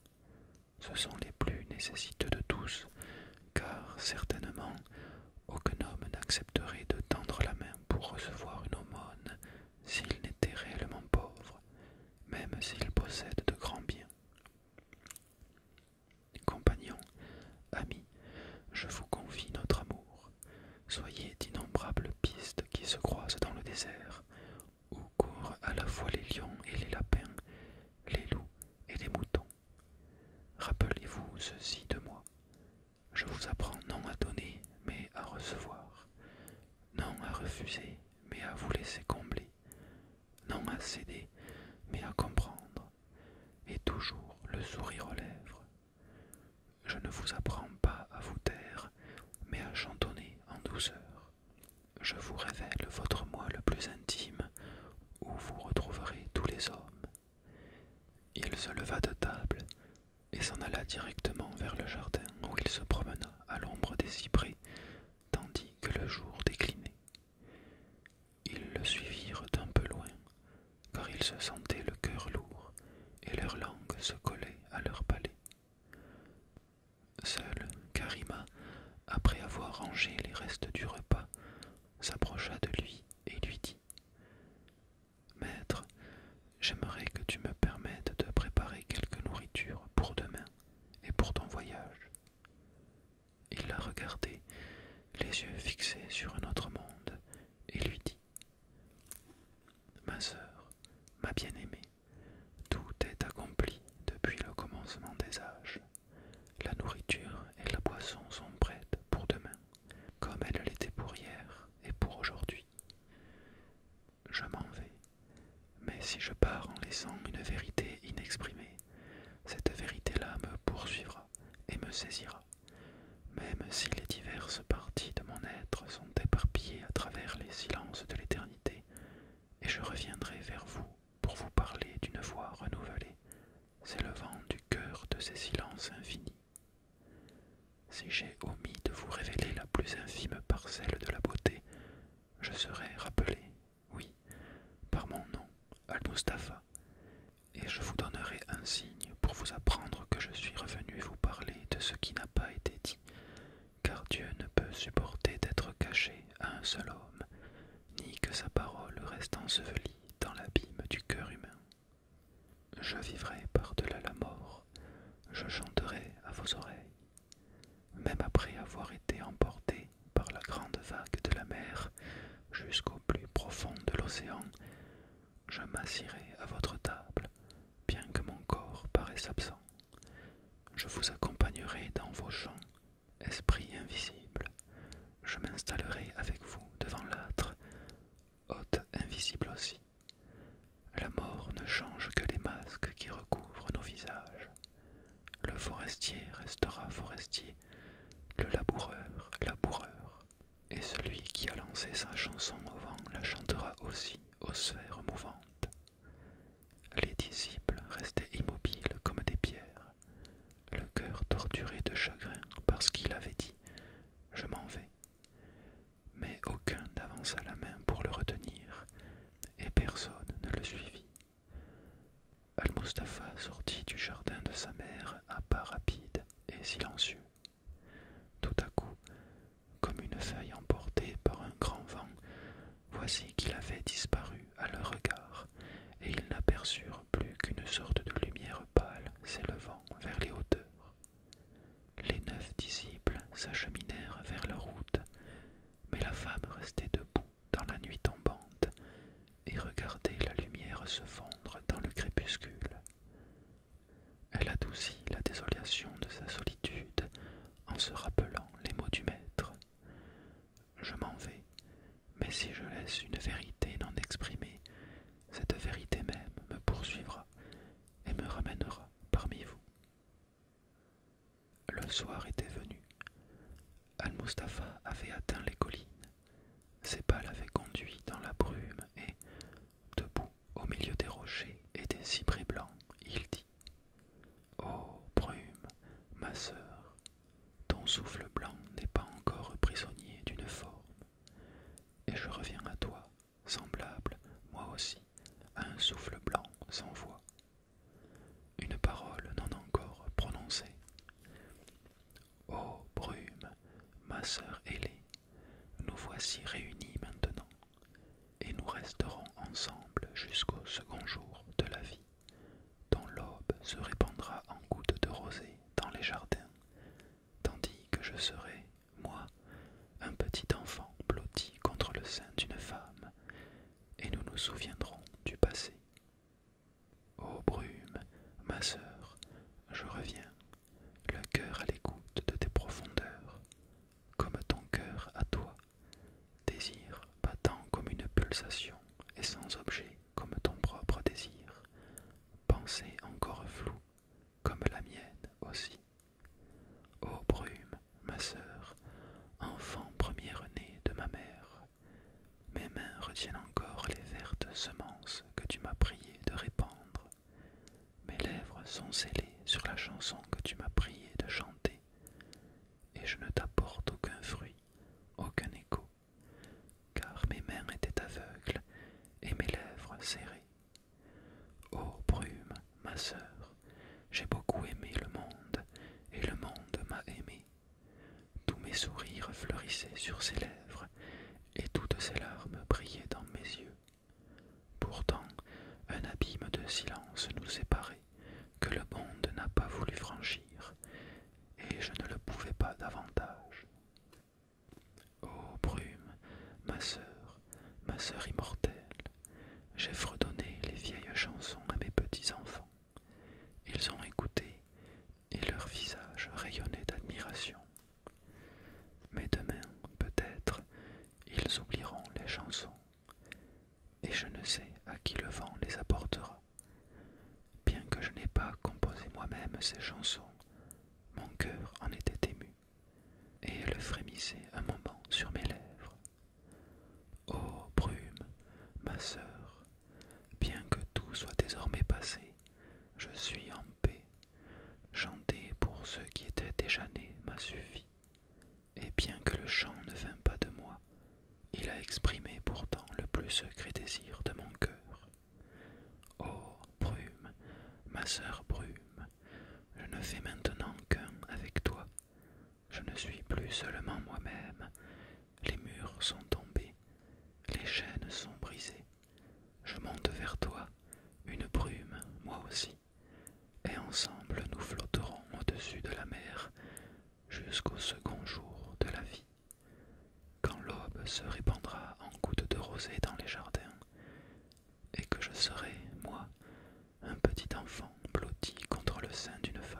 Ce sont les plus nécessiteux de tous, car certainement aucun homme n'accepterait de tendre la main pour recevoir une aumône s'il n'était réellement pauvre, même s'il possède de grands biens. Compagnons, amis, je vous confie notre amour. Soyez d'innombrables pistes qui se croisent dans le désert, où courent à la fois les lions et les lapins, les loups et les moutons. Rappelez-vous ceci de moi. Je vous apprends non à donner, mais à recevoir, non à refuser, mais à vous laisser combler, non à céder, mais à comprendre, et toujours le sourire aux lèvres. Je ne vous apprends pas à vous taire, mais à chantonner en douceur. Je vous révèle votre moi le plus intime, où vous retrouverez tous les hommes. Il se leva de table et s'en alla directement vers le jardin où il se promena à l'ombre des cyprès, tandis que le jour déclinait. Ils le suivirent un peu loin, car ils se sentaient le cœur lourd et leur langue se collait à leur palais. Seule Karima, après avoir rangé les restes du repas, s'approcha de lui et lui dit Maître, j'aimerais que tu me permettes de préparer quelque nourriture pour demain et pour ton voyage. Il la regardait, les yeux fixés sur un autre monde, et lui dit Ma sœur, ma bien-aimée, tout est accompli depuis le commencement des âges. La nourriture et la boisson sont prêtes pour demain, comme elles l'étaient pour hier et pour aujourd'hui. Je m'en vais, mais si je pars en laissant une vérité inexprimée, cette vérité-là me poursuivra et me saisira, même si les diverses parties de mon être sont éparpillées à travers les silences de l'éternité, et je reviendrai vers vous pour vous parler d'une voix renouvelée, s'élevant du cœur de ces silences infinis. Si j'ai omis de vous révéler la plus infime parcelle de la beauté, je serai rappelé oui, par mon nom, Al-Mustafa, et je vous donnerai un signe pour vous apprendre que je suis revenu vous parler de ce qui n'a pas été dit, car Dieu ne peut supporter d'être caché à un seul homme, ni que sa parole reste ensevelie dans l'abîme du cœur humain. Je vivrai par-delà la mort, je chanterai à vos oreilles. Même après avoir été emporté, par la grande vague de la mer jusqu'au plus profond de l'océan, je m'assirai à votre table, bien que mon corps paraisse absent. Je vous accompagnerai dans vos champs, esprit invisible. Je m'installerai avec vous devant l'âtre, hôte invisible aussi. La mort ne change que les masques qui recouvrent nos visages. Le forestier restera forestier le laboureur, laboureur, et celui qui a lancé sa chanson au vent la chantera aussi aux sphères mouvantes. Les disciples restaient immobiles comme des pierres, le cœur torturé de chagrin parce qu'il avait dit Je m'en vais. Mais aucun n'avança la main pour le retenir, et personne ne le suivit al mustafa sortit du jardin de sa mère à pas rapides et silencieux. Tout à coup, comme une feuille emportée par un grand vent, voici qu'il avait disparu à leur regard, et ils n'aperçurent plus qu'une sorte de lumière pâle s'élevant vers les hauteurs. Les neuf disciples s'acheminèrent vers leur route, mais la femme restait debout dans la nuit tombante, et regarder la lumière se fondre dans le crépuscule. Elle adoucit la désolation de sa solitude en se rappelant les mots du maître. Je m'en vais, mais si je laisse une vérité non exprimer, cette vérité même me poursuivra et me ramènera parmi vous. Le soir était venu. Al-Mustapha avait atteint les collines. Ses pas l'avaient conduit dans la brume et, debout au milieu des rochers et des cyprès blancs, il dit Ô oh, brume, ma sœur, ton souffle blanc n'est pas encore prisonnier d'une forme, et je reviens à toi, semblable, moi aussi, à un souffle blanc sans voix. Une parole non encore prononcée. Ô brume, ma sœur ailée, nous voici réunis maintenant, et nous resterons ensemble jusqu'au second jour de la vie, dont l'aube se répandra en gouttes de rosée dans les jardins, tandis que je serai, moi, un petit enfant blotti contre le sein d'une femme, et nous nous souviendrons du passé. Ô brume, ma sœur, je reviens, le cœur à l'écoute de tes profondeurs, comme ton cœur à toi, désir battant comme une pulsation et sans objet comme ton propre désir, pensée encore floue, comme la mienne aussi. Ô brume, ma sœur, enfant premier né de ma mère, mes mains retiennent encore les vertes semences que tu m'as prié de répandre. Mes lèvres sont scellées sur la chanson que tu m'as prié de chanter, et je ne t'apporte aucun fruit, aucun écho, car mes mains étaient aveugles et mes lèvres serrées. Ô brume, ma sœur, j'ai beaucoup aimé le monde, et le monde m'a aimé. Tous mes sourires fleurissaient sur ses lèvres et toutes ses larmes brillaient dans mes yeux. Pourtant, un abîme de silence nous séparait que le monde n'a pas voulu franchir, et je ne le pouvais pas davantage. Ô brume, ma sœur, ma sœur immortelle, j'ai fredonné les vieilles chansons à mes petits-enfants. Ils ont écouté et leur visage rayonnait d'admiration. Mais demain, peut-être, ils oublieront les chansons, et je ne sais à qui le vent les apportera. Bien que je n'aie pas composé moi-même ces chansons, mon cœur en était ému, et elle frémissait un moment sur mes lèvres. Ô brume, ma sœur, bien que tout soit désormais passé, je suis en paix. Chanter pour ceux qui étaient déjà nés m'a suffi. Et bien que le chant ne vint pas de moi, il a exprimé pourtant le plus secret désir de mon cœur. Oh, brume, ma sœur brume, je ne fais maintenant qu'un avec toi. Je ne suis plus seulement moi-même. Les murs sont tombés, les chaînes sont brisées. Je monte vers toi, une brume, moi aussi, et ensemble nous flotterons au-dessus de la mer jusqu'au second jour de la vie, quand l'aube se répandra en gouttes de rosée dans les jardins, et que je serai, moi, un petit enfant blotti contre le sein d'une femme.